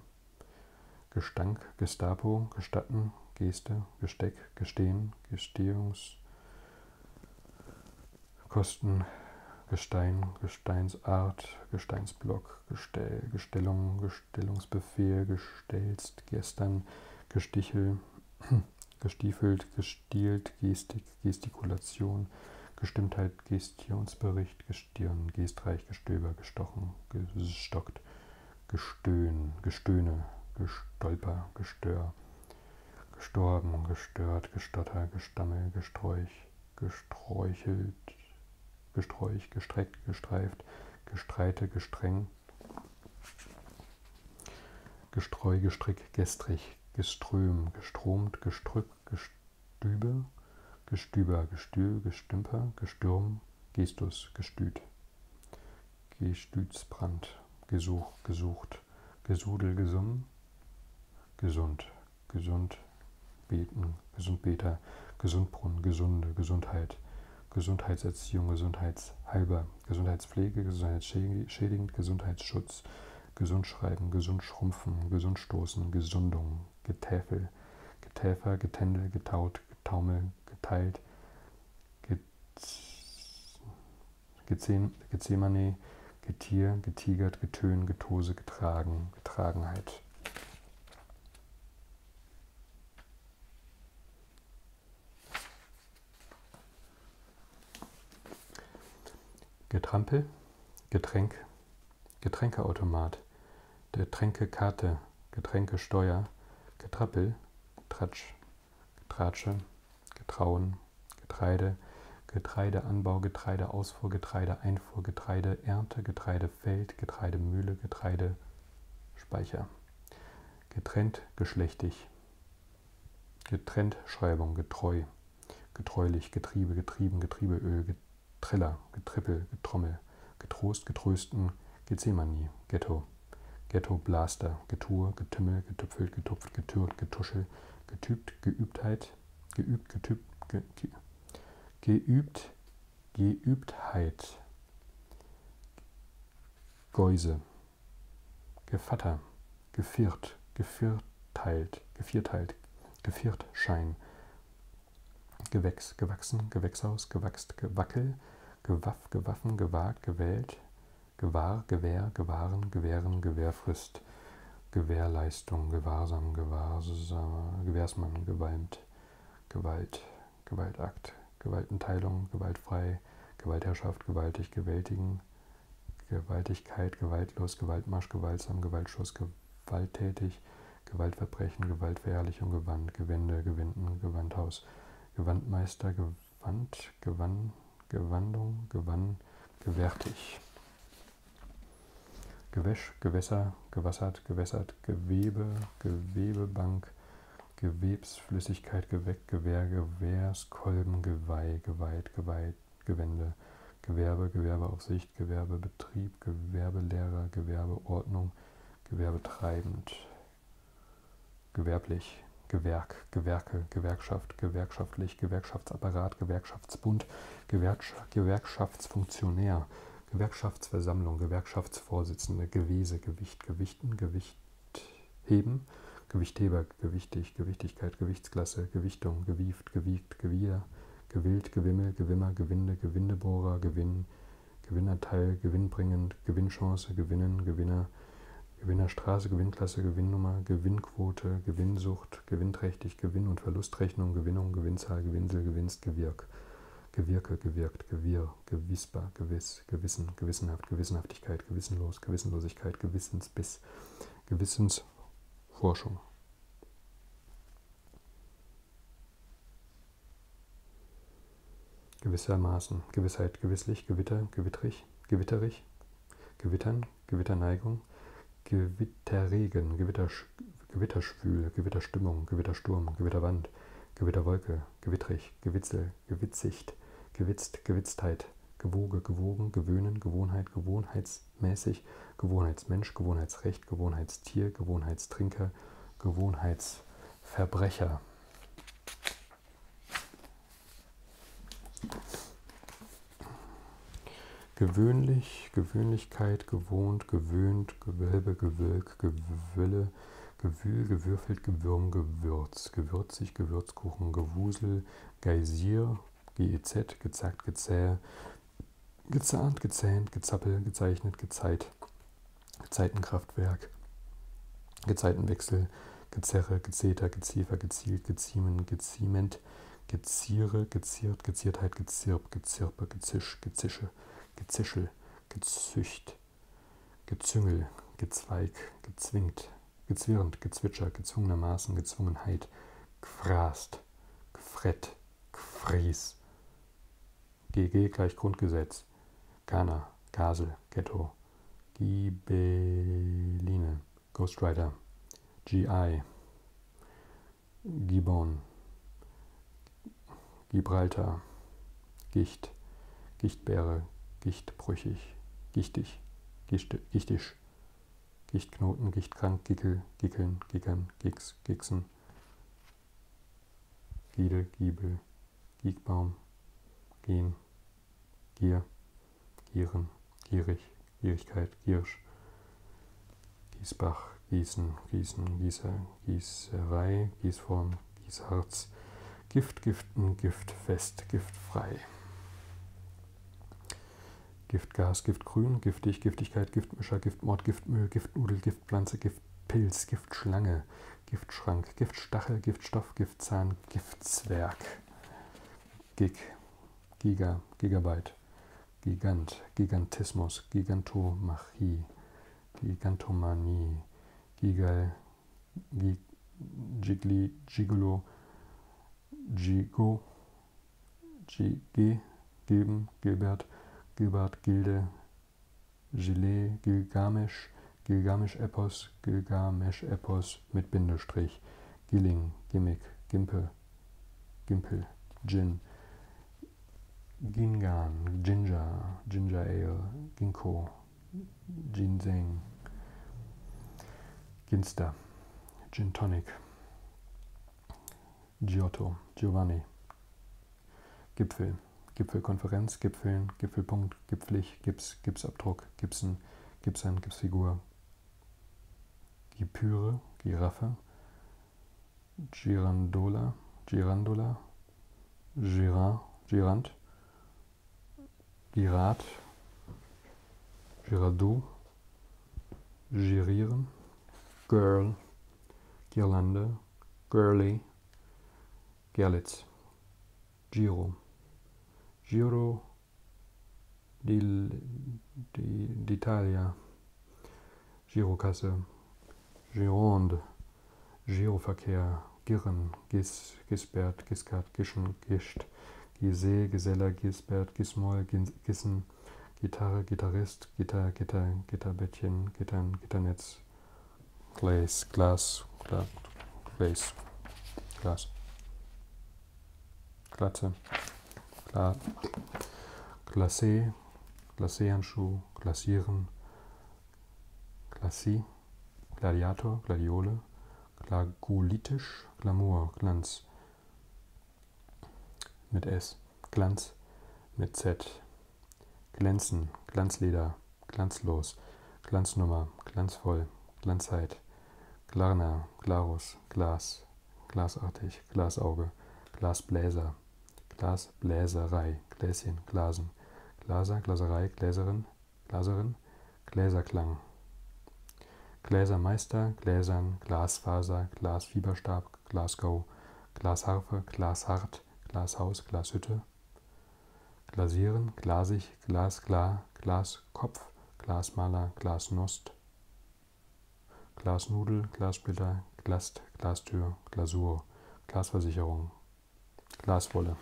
Gestank, Gestapo, Gestatten, Geste, Gesteck, Gestehen, Gestehungs, Kosten, Gestein, Gesteinsart, Gesteinsblock, Gestell, Gestellung, Gestellungsbefehl, Gestelzt, Gestern, Gestichel, <clears throat> gestiefelt, gestielt, Gestik, Gestikulation, Gestimmtheit, Gestik. Missionsbericht, Gestirn, geistreich, Gestöber, gestochen, gestockt, gestöhn, gestöhne, gestolper, gestör, gestorben, gestört, gestotter, gestammel, gesträuch, gesträuchelt, gesträuch, gestreckt, gestreift, gestreite, gestreng, gestreu, gestrick, gestrig, geström, gestromt, gestrück, Gestübe, Gestüber, Gestühl, Gestümper, Gestürm, Gestus, Gestüt, Gestütsbrand, Gesuch, Gesucht, Gesudel, Gesumm, Gesund, Gesund, Beten, Gesundbeter, Gesundbrunnen, Gesunde, Gesundheit, Gesundheitserziehung, Gesundheitshalber, Gesundheitspflege, Gesundheitsschädigend, Gesundheitsschutz, Gesundschreiben, Gesundschrumpfen, Gesundstoßen, Gesundung, Getäfel, Getäfer, Getändel, Getaut, Getaumel, Geteilt, Gezemane, Getier, Getigert, Getön, Getose, Getragen, Getragenheit. Getrampel, Getränk, Getränkeautomat, Getränkekarte, Getränkesteuer, Getrappel, Tratsch, Getratsche, Getrauen, Getreide, Getreideanbau, Getreideausfuhr, Getreideeinfuhr, Getreideernte, Getreidefeld, Getreidemühle, Getreidespeicher. Getrennt geschlechtig. Getrenntschreibung, getreu, getreulich, Getriebe, getrieben, Getriebeöl, Triller, Getrippel, Getrommel, Getrost, Getrösten, Gethsemane, Ghetto, Ghetto, Blaster, Getue, Getümmel, Getüpfelt, Getupft, Getürt, Getuschel, Getübt, Geübtheit, Geübt, Getübt, ge, ge, Geübt, Geübtheit, Geuse, Gevatter, Geviert, Gevierteilt, Gevierteilt, Geviertschein, Gewächs, gewachsen, Gewächshaus, gewachst, gewackel, gewaff, gewaffen, gewagt, gewählt, gewahr, gewähr, gewahren, gewähren, Gewährfrist, Gewährleistung, gewahrsam, gewahrsam, Gewährsmann, gewalmt, Gewalt, Gewaltakt, Gewaltenteilung, gewaltfrei, Gewaltherrschaft, gewaltig, gewältigen, Gewaltigkeit, gewaltlos, Gewaltmarsch, gewaltsam, Gewaltschuss, gewalttätig, Gewaltverbrechen, Gewaltverherrlichung, Gewand, Gewände, Gewinden, Gewandhaus, Gewandmeister, Gewand, Gewann, Gewandung, Gewann, Gewärtig. Gewäsch, Gewässer, Gewassert, Gewässert, Gewebe, Gewebebank, Gewebsflüssigkeit, Geweck, Gewehr, Gewehrs, Kolben, Geweih, Geweiht, Geweiht, Gewände, Gewerbe, Gewerbeaufsicht, Gewerbebetrieb, Gewerbelehrer, Gewerbeordnung, Gewerbetreibend, gewerblich, Gewerk, Gewerke, Gewerkschaft, gewerkschaftlich, Gewerkschaftsapparat, Gewerkschaftsbund, Gewerksch Gewerkschaftsfunktionär, Gewerkschaftsversammlung, Gewerkschaftsvorsitzende, Gewese, Gewicht, Gewichten, Gewicht heben, Gewichtheber, gewichtig, Gewichtigkeit, Gewichtsklasse, Gewichtung, gewieft, gewiegt, Gewier, Gewillt, Gewimmel, Gewimmer, Gewinde, Gewindebohrer, Gewinn, Gewinnerteil, Gewinnbringend, Gewinnchance, Gewinnen, Gewinner, Gewinnerstraße, Gewinnklasse, Gewinnnummer, Gewinnquote, Gewinnsucht, gewinnträchtig, Gewinn- und Verlustrechnung, Gewinnung, Gewinnzahl, Gewinsel, Gewinst, Gewirk, Gewirke, Gewirkt, Gewirr, Gewissbar, Gewiss, Gewissen, Gewissenhaft, Gewissenhaftigkeit, Gewissenlos, Gewissenlosigkeit, Gewissensbiss, Gewissensforschung. Gewissermaßen, Gewissheit, gewisslich, Gewitter, gewitterig, gewitterig, Gewittern, Gewitterneigung, Gewitterregen, Gewittersch Gewitterschwül, Gewitterstimmung, Gewittersturm, Gewitterwand, Gewitterwolke, Gewittrig, Gewitzel, Gewitzigt, Gewitzt, Gewitztheit, Gewoge, Gewogen, Gewöhnen, Gewohnheit, Gewohnheits, gewohnheitsmäßig, Gewohnheitsmensch, Gewohnheitsrecht, Gewohnheitstier, Gewohnheitstrinker, Gewohnheitsverbrecher. Gewöhnlich, Gewöhnlichkeit, gewohnt, gewöhnt, Gewölbe, Gewölk, Gewülle, Gewühl, gewürfelt, Gewürm, Gewürz, gewürzig, Gewürzkuchen, Gewusel, Geysir, GEZ, gezackt, gezäh, Gezahnt, gezähnt, gezappel, gezeichnet, gezeit, Gezeitenkraftwerk, Gezeitenwechsel, Gezerre, Gezeter, Geziefer, Gezielt, Geziemen, Geziement, Geziere, Geziert, Geziertheit, Gezirp, Gezirpe, Gezisch, Gezische, Gezischel, Gezücht, Gezüngel, Gezweig, Gezwingt, Gezwirrend, Gezwitscher, gezwungenermaßen, Gezwungenheit, Gefrast, Gefrett, Fries. GG gleich Grundgesetz. Ghana, Gasel, Ghetto. Gibeline, Ghostwriter. GI, Gibon, Gibraltar, Gicht, Gichtbeere, Gichtbrüchig, Gichtig, Gichte, Gichtisch, Gichtknoten, Gichtkrank, Gickel, Gickeln, Gickern, Gicks, Gixen. Glieder, Giebel, Giegbaum, Gehen, Gier, Gieren, Gierig, Gierigkeit, Giersch, Giesbach, Gießen, Gießen, Gießer, Gießerei, Gießform, Gießharz, Gift, Giften, Giftfest, Giftfrei. Giftgas, Giftgrün, Giftig, Giftigkeit, Giftmischer, Giftmord, Giftmüll, Giftnudel, Giftpflanze, Giftpilz, Giftschlange, Giftschrank, Giftstachel, Giftstoff, Giftzahn, Giftzwerg. Gig, Giga, Gigabyte, Gigant, Gigantismus, Gigantomachie, Gigantomanie, Gigal, Gig, Gigli, Gigolo, Gigo, G, G, Gilben, Gilbert, Gilbert, Gilde, Gilet, Gilgamesh, Gilgamesh-Epos, Gilgamesh-Epos mit Bindestrich, Gilling, Gimmick, Gimpel, Gimpel, Gin, Gingan, Ginger, Ginger Ale, Ginkgo, Ginseng, Ginster, Gin Tonic, Giotto, Giovanni. Gipfel, Gipfelkonferenz, Gipfeln, Gipfelpunkt, Gipflich, Gips, Gipsabdruck, Gipsen, Gipsern, Gipsfigur. Gipüre, Giraffe, Girandola, Girandola, Girand, Girand, Girat, Girardou, girieren, girl, Girlande, girly, Gerlitz, Giro, Giro d'Italia, Girokasse, Gironde, Giroverkehr, Girren, Gis, Gisbert, Giskert, Gischen, Gischt, Gise, Geseller, Gisbert, Gismol, Gissen, Gitarre, Gitarrist, Gitter, Gitter, Gitterbettchen, Gittern, Gitternetz, Glas, Glas, Glas, Glas, Glatze, Gla, Glacé, Glacéhandschuh, Glasieren, Glacis, Gladiator, Gladiole, Glagolitisch, Glamour, Glanz, mit S, Glanz mit Z, Glänzen, Glanzleder, Glanzlos, Glanznummer, Glanzvoll, Glanzzeit, Glarner, Glarus, Glas, Glasartig, Glasauge, Glasbläser, Glasbläserei, Gläschen, Glasen, Glaser, Glaserei, Gläserin, Glaserin, Gläserklang, Gläsermeister, Gläsern, Glasfaser, Glasfiberstab, Glasgow, Glasharfe, Glashart, Glashaus, Glashütte, Glasieren, Glasig, Glasklar, Glaskopf, Glasmaler, Glasnost, Glasnudel, Glassplitter, Glast, Glastür, Glasur, Glasversicherung, Glaswolle,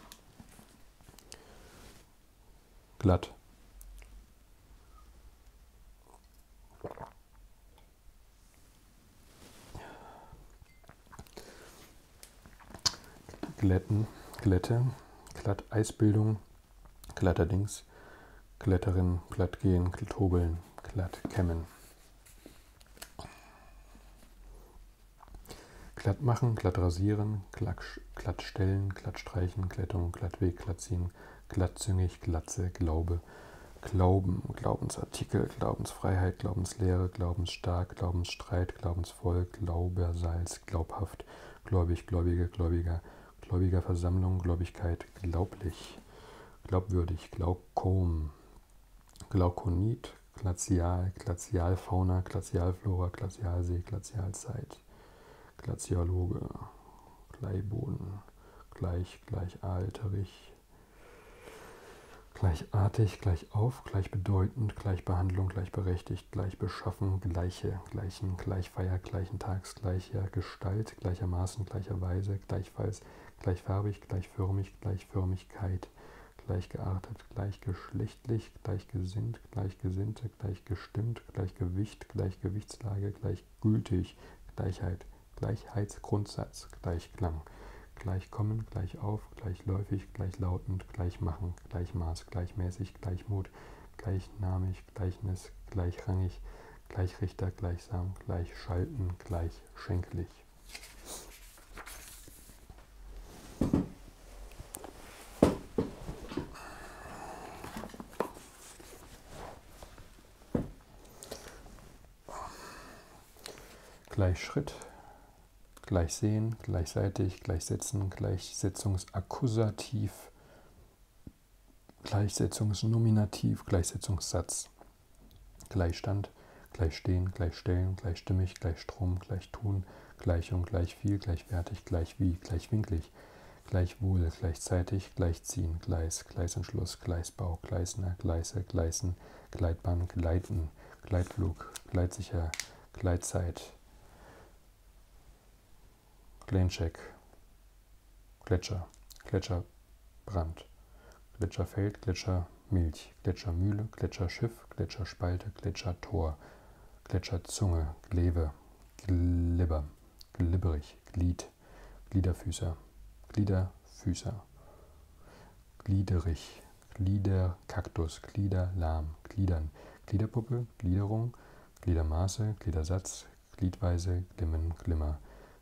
glatt. Glätten, Glätte, Glatteisbildung, Glatterdings, Glätterin, Glattgehen, Tobeln, Glattkämmen. glatt machen, glatt rasieren, glatt, glatt stellen, glatt streichen, Glättung, glattweg, glatt ziehen, glattzüngig, glatze, Glaube, Glaube, Glauben, Glaubensartikel, Glaubensfreiheit, Glaubenslehre, Glaubensstark, Glaubensstreit, Glaubensvolk, Glaubersalz, glaubhaft, gläubig, gläubige, gläubiger, gläubiger Versammlung, Gläubigkeit, glaublich, glaubwürdig, glaukom, glaukonit, glazial, glazialfauna, glazialflora, glazialsee, glazialzeit, glaziologe, Gleiboden, gleich, gleichalterig, Gleichartig, gleich auf, gleichbedeutend, Gleichbehandlung, gleichberechtigt, gleichbeschaffen, gleiche, gleichen, gleichfeier, gleichen Tags, gleicher Gestalt, gleichermaßen, gleicherweise, gleichfalls, gleichfarbig, gleichförmig, gleichförmigkeit, gleichgeartet, gleichgeschlechtlich, gleichgesinnt, gleichgesinnte, gleichgestimmt, gleichgewicht, gleichgewichtslage, gleichgültig, Gleichheit. Gleichheitsgrundsatz, Gleichklang, Gleichkommen, Gleichauf, Gleichläufig, Gleichlautend, Gleichmachen, Gleichmaß, Gleichmäßig, Gleichmut, Gleichnamig, Gleichnis, Gleichrangig, Gleichrichter, Gleichsam, Gleichschalten, Gleichschenklich. Gleich Schritt, gleich sehen, gleichseitig, gleichsetzen, Gleichsetzungsakkusativ, Gleichsetzungsnominativ, Gleichsetzungssatz, Gleichstand, Gleichstehen, Gleichstellen, Gleichstimmig, Gleichstrom, Gleichtun, Gleichung, Gleichviel, Gleichwertig, Gleichwie, Gleichwinklig, Gleichwohl, Gleichzeitig, gleich, gleichziehen, Gleis, Gleisanschluss, Gleisbau, Gleisner, Gleise, Gleisen, Gleitbahn, Gleiten, Gleitflug, Gleitsicher, Gleitzeit, Glencheck, Gletscher, Gletscherbrand, Gletscherfeld, Gletschermilch, Gletschermühle, Gletscherschiff, Gletscherspalte, Gletschertor, Gletscherzunge, Gleve, Glibber, Glibberig, Glied, Glied, Gliederfüßer, Gliederfüßer, Gliederich, Gliederkaktus, Gliederlahm, Gliedern, Gliederpuppe, Gliederung, Gliedermaße, Gliedersatz, Gliedweise, Glimmen, Glimmer,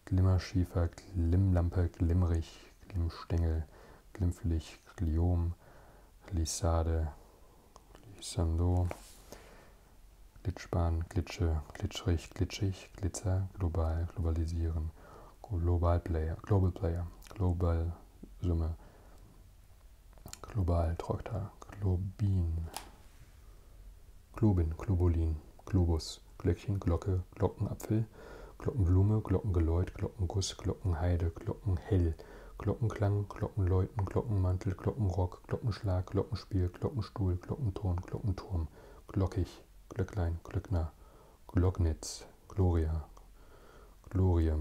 Glimmerschiefer, Glimmlampe, Glimmerich, Glimmstängel, Glimpflich, Gliom, Glissade, Glissando, Glitschbahn, Glitsche, Glitschrich, Glitschig, durch Glitzer global globalisieren. Global Player, Global Player, Global Summe, Global Träuter, Globin, Globin, Globulin, Globus, Glöckchen, Glocke, Glockenapfel, Glockenblume, Glockengeläut, Glockenguss, Glockenheide, Glockenhell, Glockenklang, Glockenläuten, Glockenmantel, Glockenrock, Glockenschlag, Glockenspiel, Glockenstuhl, Glockenton, Glockenturm, Glockig, Glücklich, Glöcklein, Glöckner, Glocknitz, Gloria, Glorie,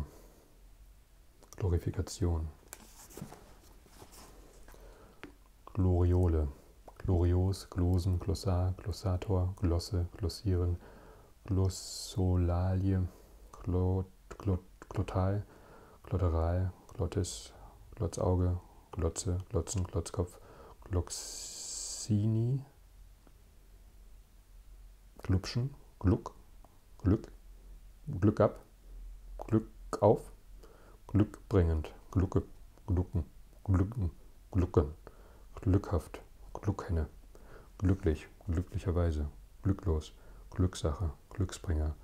Glorifikation, Gloriole, Glorios, Glosen, Glossar, Glossator, Glosse, Glossieren, Glossolalie, Glot, Glot, Glotal, Glotterei, Glottis, Glotzauge, Glotze, Glotzen, Glotzkopf, Gloxini, Glubschen, Gluck, Glück, Glück ab, Glück auf, Glückbringend, Glucke, Glucken, Glücken, Glucken, Glückhaft, Gluckhenne, Glücklich, glücklicherweise, Glücklos, Glückssache, Glücksbringer,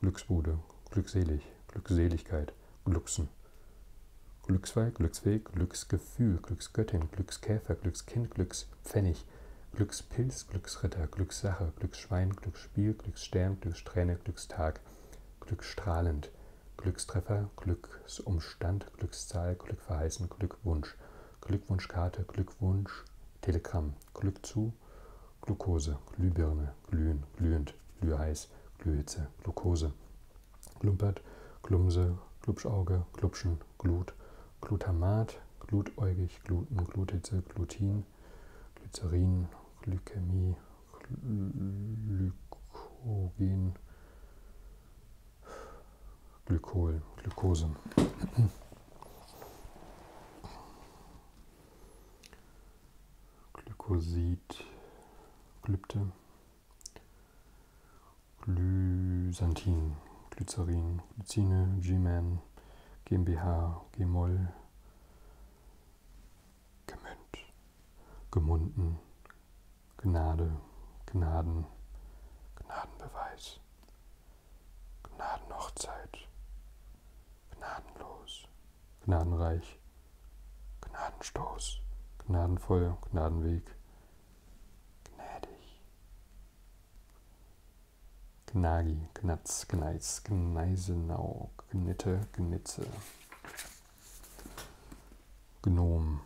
Glücksbude, Glückselig, Glückseligkeit, Glücksen, Glücksweih, Glücksweg, Glücksgefühl, Glücksgöttin, Glückskäfer, Glückskind, Glückspfennig, Glückspilz, Glücksritter, Glückssache, Glücksschwein, Glücksspiel, Glücksstern, Glücksträhne, Glückstag, Glückstrahlend, Glückstreffer, Glücksumstand, Glückszahl, Glückverheißen, Glückwunsch, Glückwunschkarte, Glückwunsch, Telegramm, Glück zu, Glukose, Glühbirne, Glühen, glühend, Glühheiß, Glühhitze, Glukose, Klumpert, Klumse, Klubschauge, Klubschen, Glut, Glutamat, Glutäugig, Gluten, Glutitze, Glutin, Glycerin, Glykämie, Glykogen, Glykol, Glukose. Glykosid, Glypte, Glysantin, Glycerin, Glycine, G-Man, GmbH, Gmol, Gemünd, Gemunden, Gnade, Gnaden, Gnadenbeweis, Gnadenhochzeit, Gnadenlos, Gnadenreich, Gnadenstoß, Gnadenfeuer, Gnadenweg, gnädig. Gnagi, Gnatz, Gneis, Gneisenau, Gnitte, Gnitze. Gnom.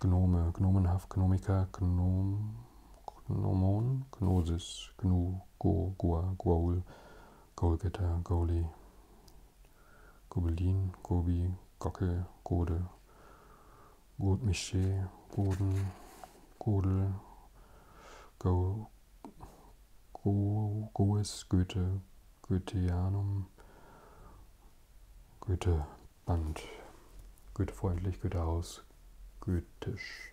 Gnome, Gnomenhaft, Gnomiker, Gnom, Gnomon, Gnosis, Gnu, Go, Go, Goa, Goaul, Goalgetter, Goalie, Gobelin, Gobi, Gockel, Gode, Godmiché, Goden, Godel, Go, Go, Goes, Goethe, Goetheanum, Goethe, Band, Goethefreundlich, Goethehaus, Goethisch,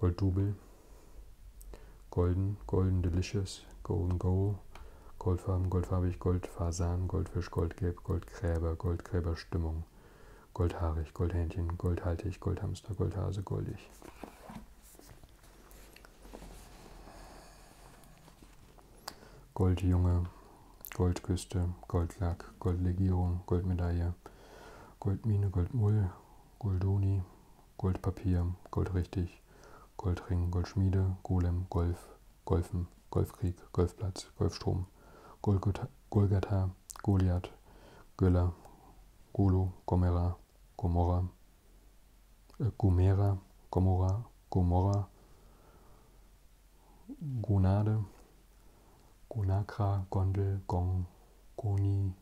Golddouble, Golden, Golden Delicious, Golden Go, Goldfarben, Goldfarbig, Goldfasan, Goldfisch, Goldgelb, Goldgräber, Goldgräberstimmung, Goldhaarig, Goldhähnchen, Goldhaltig, Goldhamster, Goldhase, Goldig. Goldjunge, Goldküste, Goldlack, Goldlegierung, Goldmedaille, Goldmine, Goldmull, Goldoni, Goldpapier, Goldrichtig, Goldring, Goldschmiede, Golem, Golf, Golfen, Golfkrieg, Golfplatz, Golfstrom, Golgotha, Golgatha, Goliath, Göller, Golo, Gomera, Gomorra, äh, Gomera, Gomorra, Gomorra, Gonade, Gonakra, Gondel, Gong, Goni,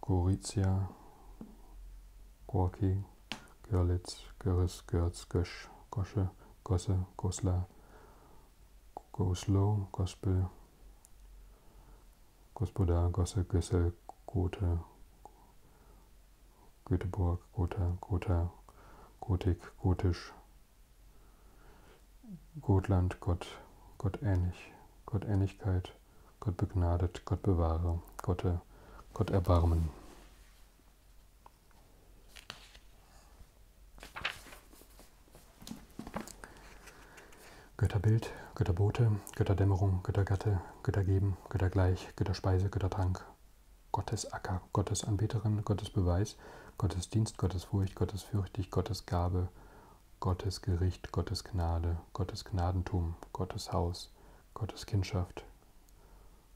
Gorizia, Gorki, Görlitz, Görres, Görz, Gösch, Gosche, Gosse, Goslar, Goslow, Gospel, Gospoda, Gosse, Gössel, Gote, Göteborg, Gotha, Gotha, Gotik, Gotisch, Gotland, Gott, Gottähnlich, Gottähnlichkeit, Gott begnadet, Gott bewahre, Gott, äh, Gott erbarmen. Götterbild, Götterbote, Götterdämmerung, Göttergatte, Göttergeben, Göttergleich, Götterspeise, Göttertrank, Gottes Acker, Gottes Anbeterin, Gottes Beweis, Gottes Dienst, Gottes Furcht, Gottes Fürchtig, Gottes Gabe, Gottes Gericht, Gottes Gnade, Gottes Gnadentum, Gottes Haus, Gottes Kindschaft,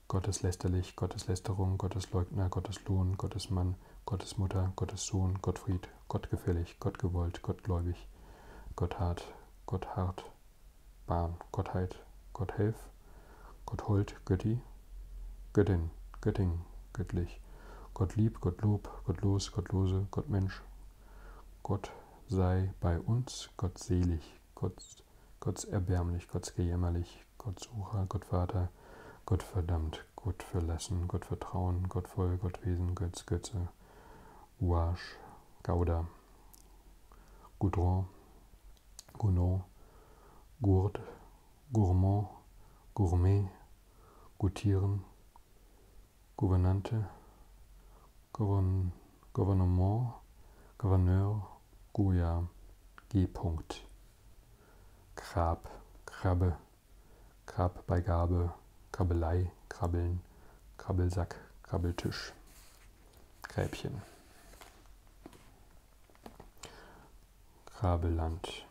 Gottes lästerlich, Gottes Lästerung, Gottes Leugner, Gottes Lohn, Gottes Mann, Gottes Mutter, Gottes Sohn, Gottfried, Gottgefällig, Gottgewollt, Gottgläubig, Gotthard, Gotthard, Bahn, Gottheit, Gotthelf, Gotthold, Götti, Göttin, Götting, Göttlich, Gottlieb, Gottlob, Gottlos, Gottlose, Gottmensch, Gott sei bei uns, Gott selig, Gott, Gott erbärmlich, Gott gejämmerlich, Gott Sucher, Gott Vater, Gott verdammt, Gott verlassen, Gott vertrauen, Gott voll, Gott Wesen, Götz, Götze, Uasch, Gauda, Goudron, Gounod, Gourd, Gourmand, Gourmet, Gutieren, Gouvernante, Gouvern Gouvernement, Gouverneur, Guja, G. -Punkt. Grab, Krabbe, Grabbeigabe, Krabbelei, Krabbeln, Krabbelsack, Krabbeltisch, Gräbchen. Krabeland,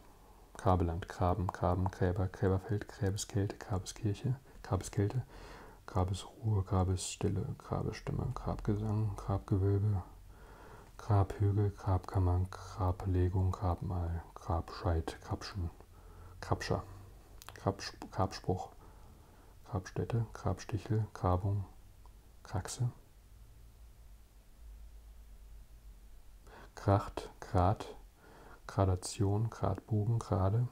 Krabeland, Graben, Graben, Gräber, Gräberfeld, Gräbeskälte, Grabeskirche, gab es Kälte, gab es Ruhe, gab es Stille, gab es Stimme, Grabgesang, Grabgewölbe, Grabhügel, Grabkammer, Grablegung, Grabmal, Grabscheit, Grabschen, Grabscher, Grabsp Grabspruch, Grabstätte, Grabstichel, Grabung, Kraxe, Kracht, Grad, Gradation, Gradbogen, Grade,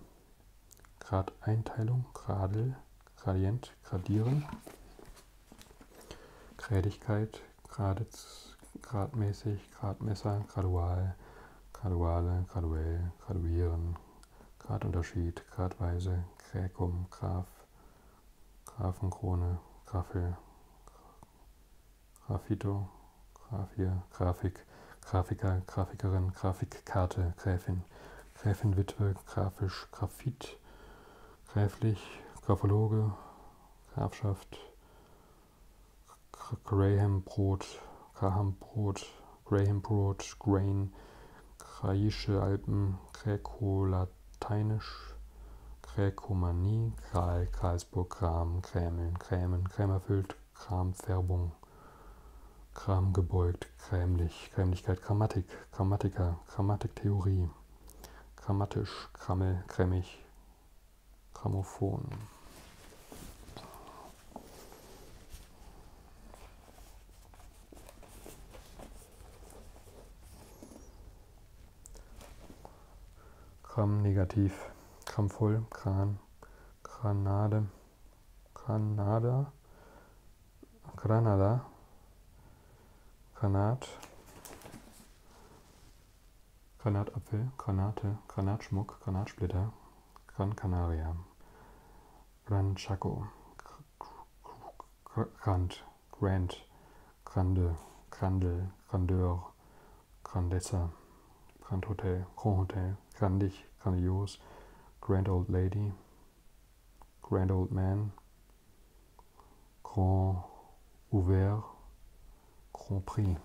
Gradeinteilung, Gradel, Gradient, Gradieren, Grädigkeit, Graditz, Gradmäßig, Gradmesser, Gradual, Graduale, Graduell, Graduieren, Gradunterschied, Gradweise, Gräkum, Graph, Graphenkrone, Graffel, Grafito, Grafier, Grafik, Grafiker, Grafikerin, Grafikkarte, Gräfin, Gräfin, Witwe, Grafisch, Grafit, Gräflich, Grafologe, Grafschaft, Graham Brot, Graham Brot, Graham Brot, Grain, Graische Alpen, Gräko-Lateinisch, Gräkomanie, Kral, Karlsburg, Gram, Krämeln, Krämen, Krämerfüllt, Kramfärbung, Kramgebeugt, Krämlich, Krämlichkeit, Grammatik, Grammatiker, Grammatiktheorie, Grammatisch, Krammel, Krämmig, Grammophon. Gramm negativ, Gramm voll, Kran, Granada, Granada, Granada, Granat, Granatapfel, Granate, Granatschmuck, Granatsplitter, Gran Canaria, Gran Chaco, Grand, Grand, Grande, Grandel, Grandeur, Grandezza, Grand Hotel, Grand Hotel, Grandig, Grandios, Grand Old Lady, Grand Old Man, Grand Ouvert, Grand Prix.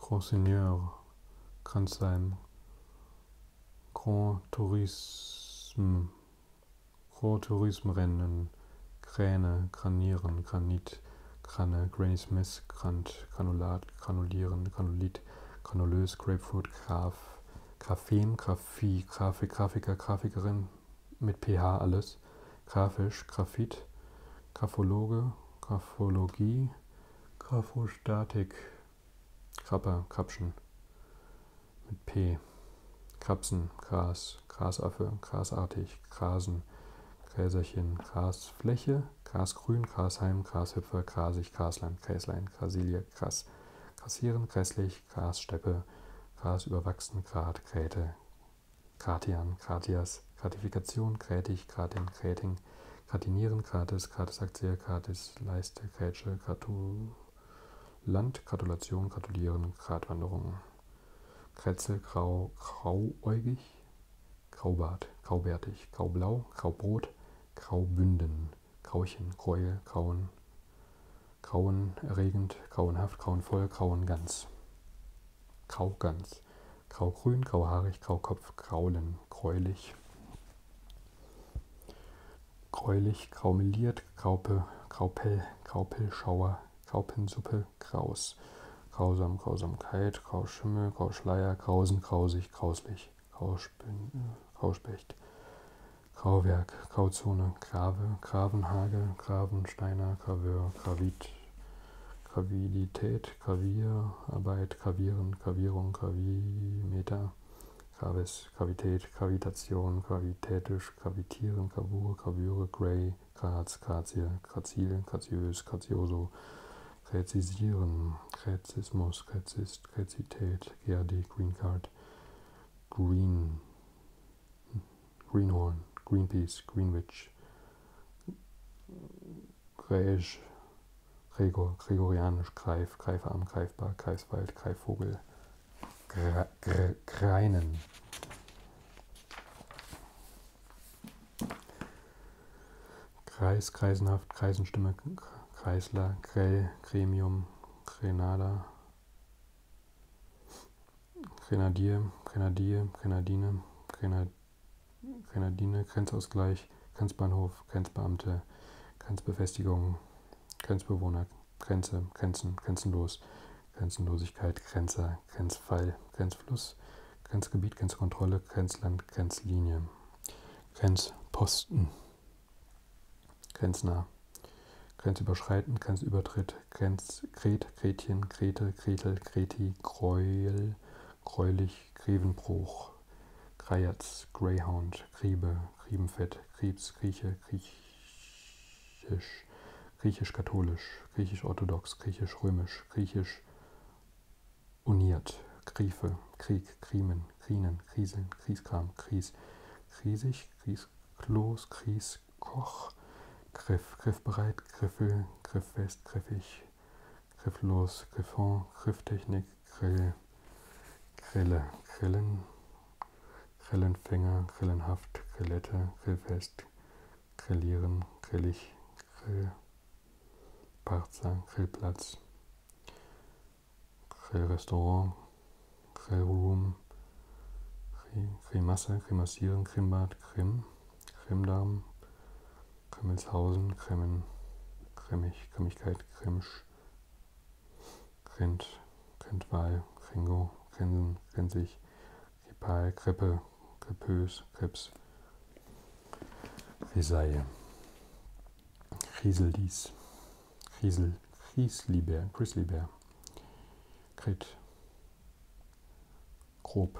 Grand Seigneur, Kranzheim, Grand Tourisme, Rohr-Turism-Rennen, Kräne, Granieren, Granit, Granne, Granny Smith, Grant, Granulat, Granulieren, Granulit, Granulös, Grapefruit, Graf, Graphem, Graphie, Grafik, Grafiker, Grafikerin, mit PH alles, Grafisch, Graphit, Graphologe, Graphologie, Graphostatik, Krapper, Krapschen mit P. Krapsen, Gras, Grasaffe, Grasartig, Grasen, Gräserchen, Grasfläche, Grasgrün, Grasheim, Grashüpfer, Grasig, Grasland, Gräslein, Grasilie, Gras, Grasieren, Grässlich, Grassteppe, Grasüberwachsen, Grat, Gräte, Gratian, Gratias, Gratifikation, Grätig, Gratin, Gräting, Gratinieren, Gratis, Gratisaktie, Gratis, Leiste, Grätsche, Gratu, Land, Gratulation, Gratulieren, Gratwanderung. Kretzel, Grau, Grauäugig, Graubart, Graubärtig, Graublau, Graubrot, Graubünden, Grauchen, Gräuel, Grauen, Grauen erregend, Grauenhaft, Grauenvoll, Grauen ganz. Graugans, Graugrün, Grauhaarig, Graukopf, Graulen, Gräulich gräulich, graumeliert, graupe, graupell, graupellschauer, graupensuppe, graus, grausam, grausamkeit, grauschimmel, grauschleier, grausen, grausig, grauslich, grauspün, äh, grauspecht, grauwerk, grauzone, grave, gravenhage, gravensteiner, graveur, gravit, Gravidität, Gravierarbeit, Gravieren, Gravierung, Gravimeter, Gravis, Gravität, Gravitation, gravitätisch, gravitieren, Gravur, Gravüre, Gray, Graz, Grazie, Grazil, Graziös, Grazioso, Gräzisieren, Gräzismus, Gräzist, Gräzität, GRD, Green Card, Green, Greenhorn, Greenpeace, Greenwich, Gräisch, Gregor, Gregorianisch, Greif, Greifer am Greifbar, Greifswald, Greifvogel, Greinen. Kreis, Kreisenhaft, Kreisenstimme, Kreisler, Grell, Gremium, Grenada, Grenadier, Grenadier, Grenadine, Grenad, Grenadine, Grenzausgleich, Grenzbahnhof, Grenzbeamte, Grenzbefestigung, Grenzbewohner, Grenze, Grenzen, Grenzenlos, Grenzenlosigkeit, Grenze, Grenzfall, Grenzfluss, Grenzgebiet, Grenzkontrolle, Grenzland, Grenzlinie, Grenzposten, Grenznah, Grenzüberschreiten, Grenzübertritt, Grenzkret, Gretchen, Grete, Gretel, Greti, Gräuel, Gräulich, Grevenbruch, Greierz, Greyhound, Griebe, Riebenfett, Krebs, Grieche, Griechisch, Griechisch-Katholisch, Griechisch-Orthodox, Griechisch-Römisch, Griechisch uniert, Griefe, Krieg, Krimen, Krinen, Kriseln, Krieskram, Kries, Kriesig, Kriesklos, Krieskoch, Griff, Griffbereit, Griffel, Grifffest, Griffig, Grifflos, Griffon, Grifftechnik, Grill. Grille, Grillen, Grillenfänger, Grillenhaft, Grillette, Grillfest, Grillieren, Grillig, Grill, Parzer, Grillplatz, Grillrestaurant, Grillroom, Grimasse, Grimassieren, Grimbad, Grimm, Grimmdarm, Grimmelshausen, Grimmen, Grimmig, Grimmigkeit, Grimmsch, Rind, Rindwall, Ringo, Rinsen, Rinsig, Ripal, Krippe, Kripös, Krips, Risaille, Rieselis, Riesel, Rieslibär, Grizzlybär, Krit, Grob,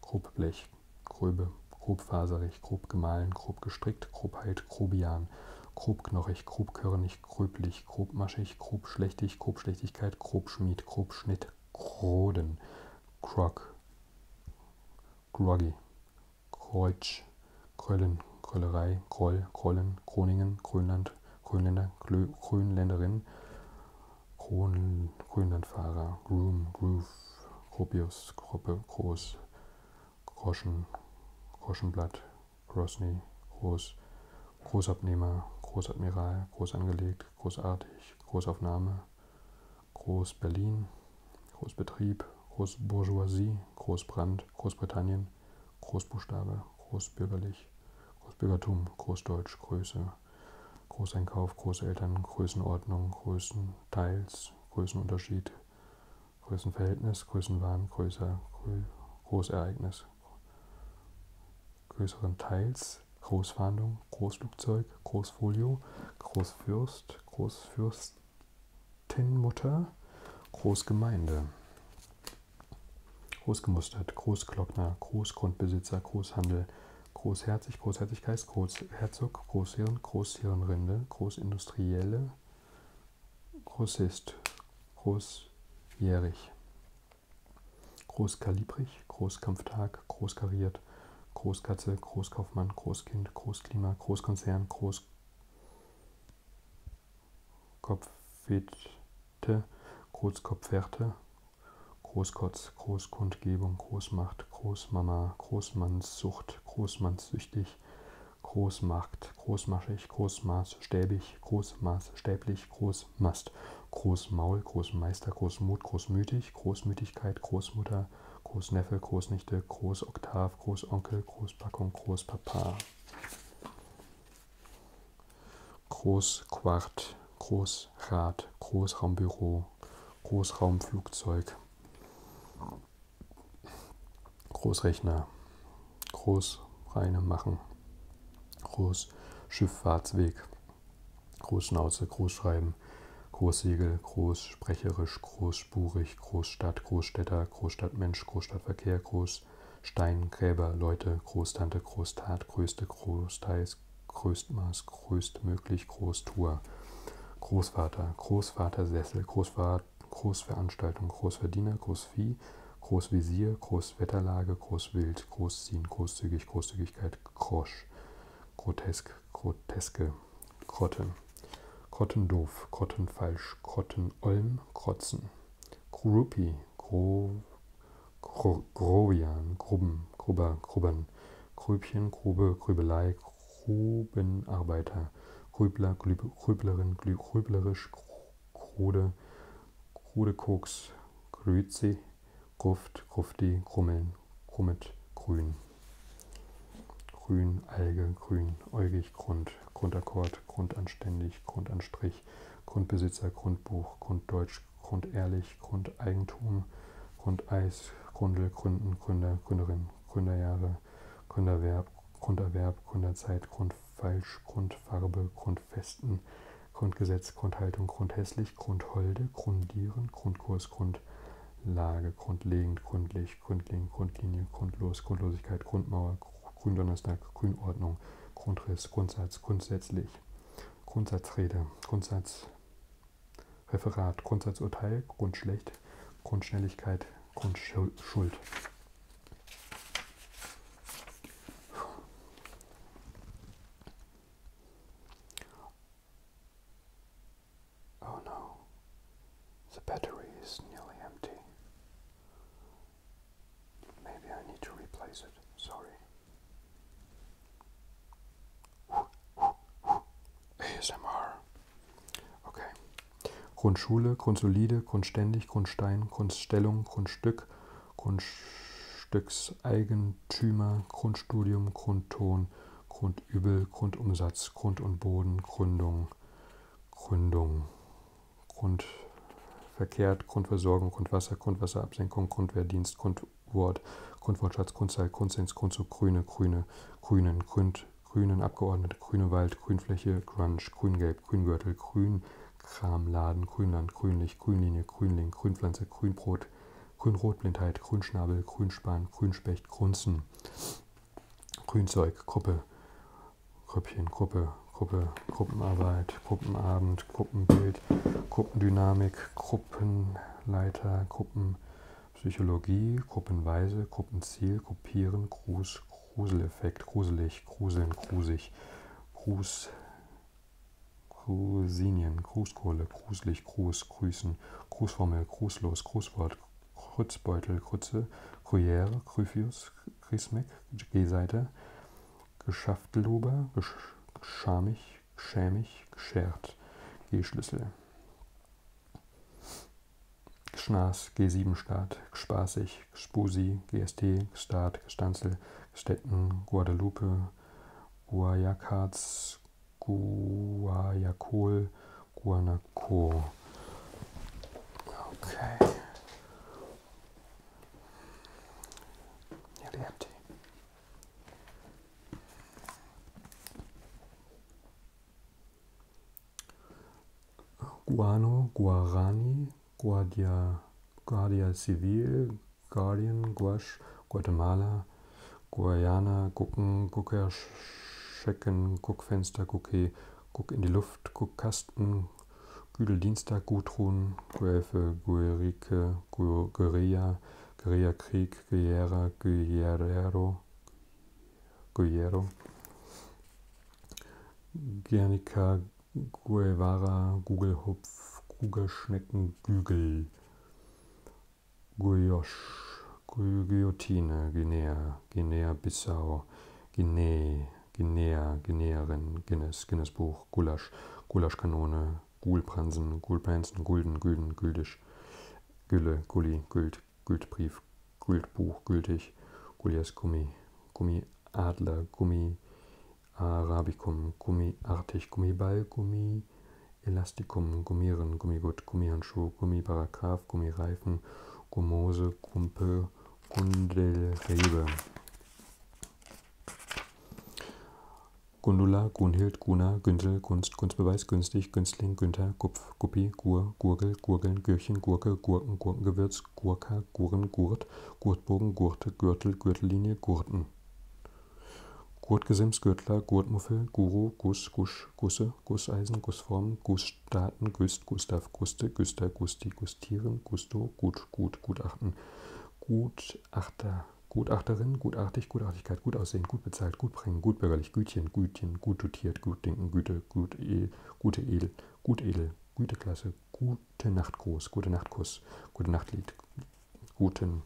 Grobblech, Gröbe, grobfaserig, grob gemahlen, grob gestrickt, grobheit, grobian, grobknochig, grobkörnig, grobschlächtig, gröblich, grobmaschig, grobschlächtig, grobschlächtigkeit, grobschmied, grobschnitt, groden, krog, groggy, kreutsch, kröllen, Kröllerei, Kroll, Krollen, Groningen, Grönland, Grönländer, Glö, Grönländerin, Kron, Grönlandfahrer, Groom, Groove, Gropius, Gruppe, Groß, Groschen, Groschenblatt, Grosny, Groß, Großabnehmer, Großadmiral, Großangelegt, Großartig, Großaufnahme, Groß-Berlin, Großbetrieb, Großbourgeoisie, Großbrand, Großbritannien, Großbuchstabe, Großbürgerlich, Großbürgertum, Großdeutsch, Größe, Großeinkauf, Großeltern, Größenordnung, Größenteils, Größenunterschied, Größenverhältnis, Größenwahn, größer, Großereignis, größeren Teils, Großfahndung, Großflugzeug, Großfolio, Großfürst, Großfürstinmutter, Großgemeinde, Großgemustert, Großglockner, Großgrundbesitzer, Großhandel, Großherzig, Großherzigkeit, Großherzog, Großhirn, Großhirnrinde, Großindustrielle, groß ist, großjährig, großkalibrig, Großkampftag, großkariert, Großkatze, Großkaufmann, Großkind, Großklima, Großkonzern, Großkopfwette, Großkopfwerte, Großkotz, Großkundgebung, Großmacht, Großmama, Großmannssucht, Großmannssüchtig, Großmacht, großmaschig, großmaßstäbig, großmaßstäblich, Großmast, Großmaul, Großmeister, Großmut, Großmütig, Großmütigkeit, Großmutter, Großneffe, Großnichte, Großoktav, Großonkel, Großpackung, Großpapa. Großquart, Großrad, Großraumbüro, Großraumflugzeug, Großrechner, Großreine machen, Großschifffahrtsweg, Großschnauze, Großschreiben, Großsegel, Großsprecherisch, Großspurig, Großstadt, Großstädter, Großstadtmensch, Großstadtverkehr, Großsteingräber, Leute, Großtante, Großtat, Größte, Großteils, Größtmaß, Größtmöglich, Großtour, Großvater, Großvatersessel, Großvater, Großveranstaltung, Großverdiener, Großvieh, Großvisier, Großwetterlage, Großwild, Großziehen, Großzügig, Großzügigkeit, Grosch, Grotesk, Groteske, Grotte, Grottendoof, Grottenfalsch, Grottenolm, Krotzen, Grupi, Gro, Gro, Grovian, Gruben, Gruber, Grubbern, Grübchen, Grube, Grübelei, Grubenarbeiter, Grübler, Grüblerin, Grüblerisch, Krude, Krude Koks, Grüzi, Gruft, Grufti, Krummeln, Krummet, Grün. Grün, Alge, Grün, Äugig, Grund, Grundakkord, Grundanständig, Grundanstrich, Grundbesitzer, Grundbuch, Grunddeutsch, Grundehrlich, Grundeigentum, Grundeis, Grundel, Gründen, Gründer, Gründerin, Gründerjahre, Gründerwerb, Grunderwerb, Gründerzeit, Grund falsch, Grundfarbe, Grundfesten, Grundgesetz, Grundhaltung, Grundhässlich, Grundholde, Grundieren, Grundkurs, Grundlage, Grundlegend, Grundlich, Grundling, Grundlinie, Grundlos, Grundlosigkeit, Grundmauer, Gründonnerstag, Grünordnung, Grundriss, Grundsatz, Grundsätzlich, Grundsatzrede, Grundsatzreferat, Grundsatzurteil, Grundschlecht, Grundschnelligkeit, Grundschuld. Oh no, the battery is nearly empty. Maybe I need to replace it, sorry. ASMR. Okay, Grundschule, Grundsolide, Grundständig, Grundstein, Grundstellung, Grundstück, Grundstückseigentümer, Grundstudium, Grundton, Grundübel, Grundumsatz, Grund und Boden, Gründung, Gründung, Grundverkehrt, Grundversorgung, Grundwasser, Grundwasserabsenkung, Grundwehrdienst, Grundwort, Grundwortschatz, Grundzahl, Grundsens, Grundzug, Grüne, Grüne, Grünen, Gründ, Grünen Abgeordnete, Grüne Wald, Grünfläche, Grunge, Grüngelb, Grüngürtel, Grünkramladen, Grünland, Grünlich, Grünlinie, Grünling, Grünpflanze, Grünbrot, Grünrotblindheit, Grünschnabel, Grünspan, Grünspecht, Grunzen, Grünzeug, Gruppe, Grüppchen, Gruppe, Gruppe, Gruppenarbeit, Gruppenabend, Gruppenbild, Gruppendynamik, Gruppenleiter, Gruppenpsychologie, Gruppenweise, Gruppenziel, Gruppieren, Gruß, Gruseleffekt, gruselig, gruseln, grusig, grus, Grusinien, Grußkohle, gruselig, Gruß, grüßen, Grußformel, grußlos, Grußwort, Krützbeutel, Krütze, Gruyère, Gryphius, Grismek, G-Seite, Geschaftlober, Geschamig, Schämig, Geschert, G-Schlüssel. Gschnas, G7-Staat, Gspaßig, Gspusi, GST, Gstaat, Gstanzel, Gstetten, Guadeloupe, Guayakats, Guayacol, Guanaco. Okay. Ja, der hat Guano, Guarani, Guardia, Guardia Civil, Guardian, Guash, Guatemala, Guayana, Gucken, Gucker, Schecken, Guckfenster, Gucke, Guck in die Luft, Guckkasten, Güdeldienstag, Gudrun, Guelfe, Guerike, Guerilla, Guerilla Krieg, Guerra, Guerrero, Guerrero, Guernica, Guevara, Gugelhupf, Kugelschnecken, Gügel, Guyosh, Guillotine, Guinea, Guinea-Bissau, Guinea, Guinea, Guineerin, Guinness, Guinness-Buch, Gulasch, Gulaschkanone, Gulpransen, Gulpansen, Gulden, Gülden, Güldisch, Gülle, Gulli, Güld, Güldbrief, Gültbuch, gültig, Gullias Gummi, Gummi Adler, Gummi Arabicum, Gummi Artig, Gummiball, Gummi Elasticum, Gummieren, Gummigut, Gummihandschuh, Gummiparagraf, Gummireifen, Gummose, Kumpel, Gundelrebe. Gundula, Gunhild, Guna, Günsel, Gunst, Gunstbeweis, Günstig, Günstling, Günther, Gupf, Guppi, Gur, Gurgel, Gurgeln, Gürchen, Gurke, Gurken, Gurkengewürz, Gurz, Gurka, Guren, Gurt, Gurtbogen, Gurte, Gürtel, Gürtellinie, Gurten. Gurtgesims, Gürtler, Gurtmuffel, Guru, Guss, Gusch, Gusse, Gusseisen, Gussform, Gussstaaten, Güst, Gustav, Guste, Güster, Gusti, Gustieren, Gusto, Gut, Gut, Gutachten, Gutachter, Gutachterin, gutartig, Gutartigkeit, gut aussehen, gut bezahlt, gut bringen, gutbürgerlich, Gütchen, Gütchen, gut dotiert, gut denken, Güte, gut, e, gute Edel, gut edel, Güteklasse, gute Nacht Gruß, gute Nacht Kuss, gute Nacht Lied, guten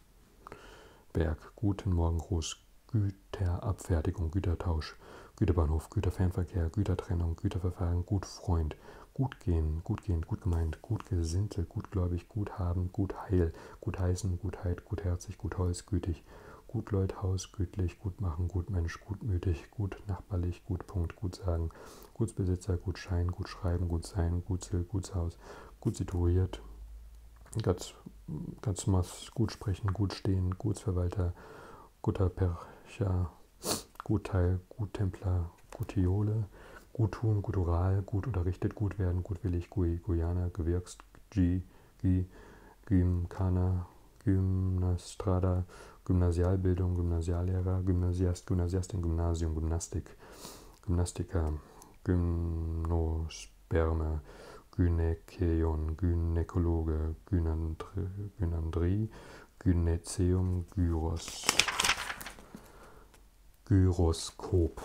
Berg, guten Morgen Gruß, Güterabfertigung, Gütertausch, Güterbahnhof, Güterfernverkehr, Gütertrennung, Güterverfahren, gut Freund, gut gehen, gut gehen, gut gemeint, gut gesinnte, gutgläubig, gut haben, gut heil, gut heißen, gutheit, gutherzig, gutheus, gütig, gut Leut, Haus, gütlich, gut machen, gut Mensch, gutmütig, gut, gut, nachbarlich, gut, Punkt, gut sagen, Gutsbesitzer, gut Schein, gut schreiben, gut sein, Gutsel, Gutshaus, gut situiert, ganz, ganz mass, gut sprechen, gut stehen, Gutsverwalter, guter Percher, Gutteil, Guttempler, Gutiole, gut tun, gut oral, gut unterrichtet, gut werden, gutwillig, Gui, Guyana, Gewirkst, G, Gi, Gimkana, Gymnastrada, Gymnasialbildung, Gymnasiallehrer, Gymnasiast, Gymnasiastin, Gymnasium, Gymnastik, Gymnastiker, Gymnosperme, Gynäkeion, Gynäkologe, Gynandrie, Gynäzeum, Gyros, Gyroskop.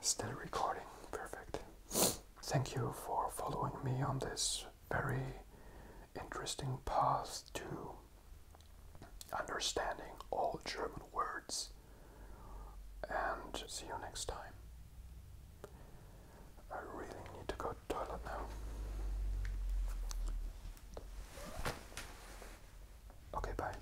Still recording, perfect. Thank you for following me on this very interesting path to understanding all German words. And see you next time. I really need to go toilet now. Okay, bye.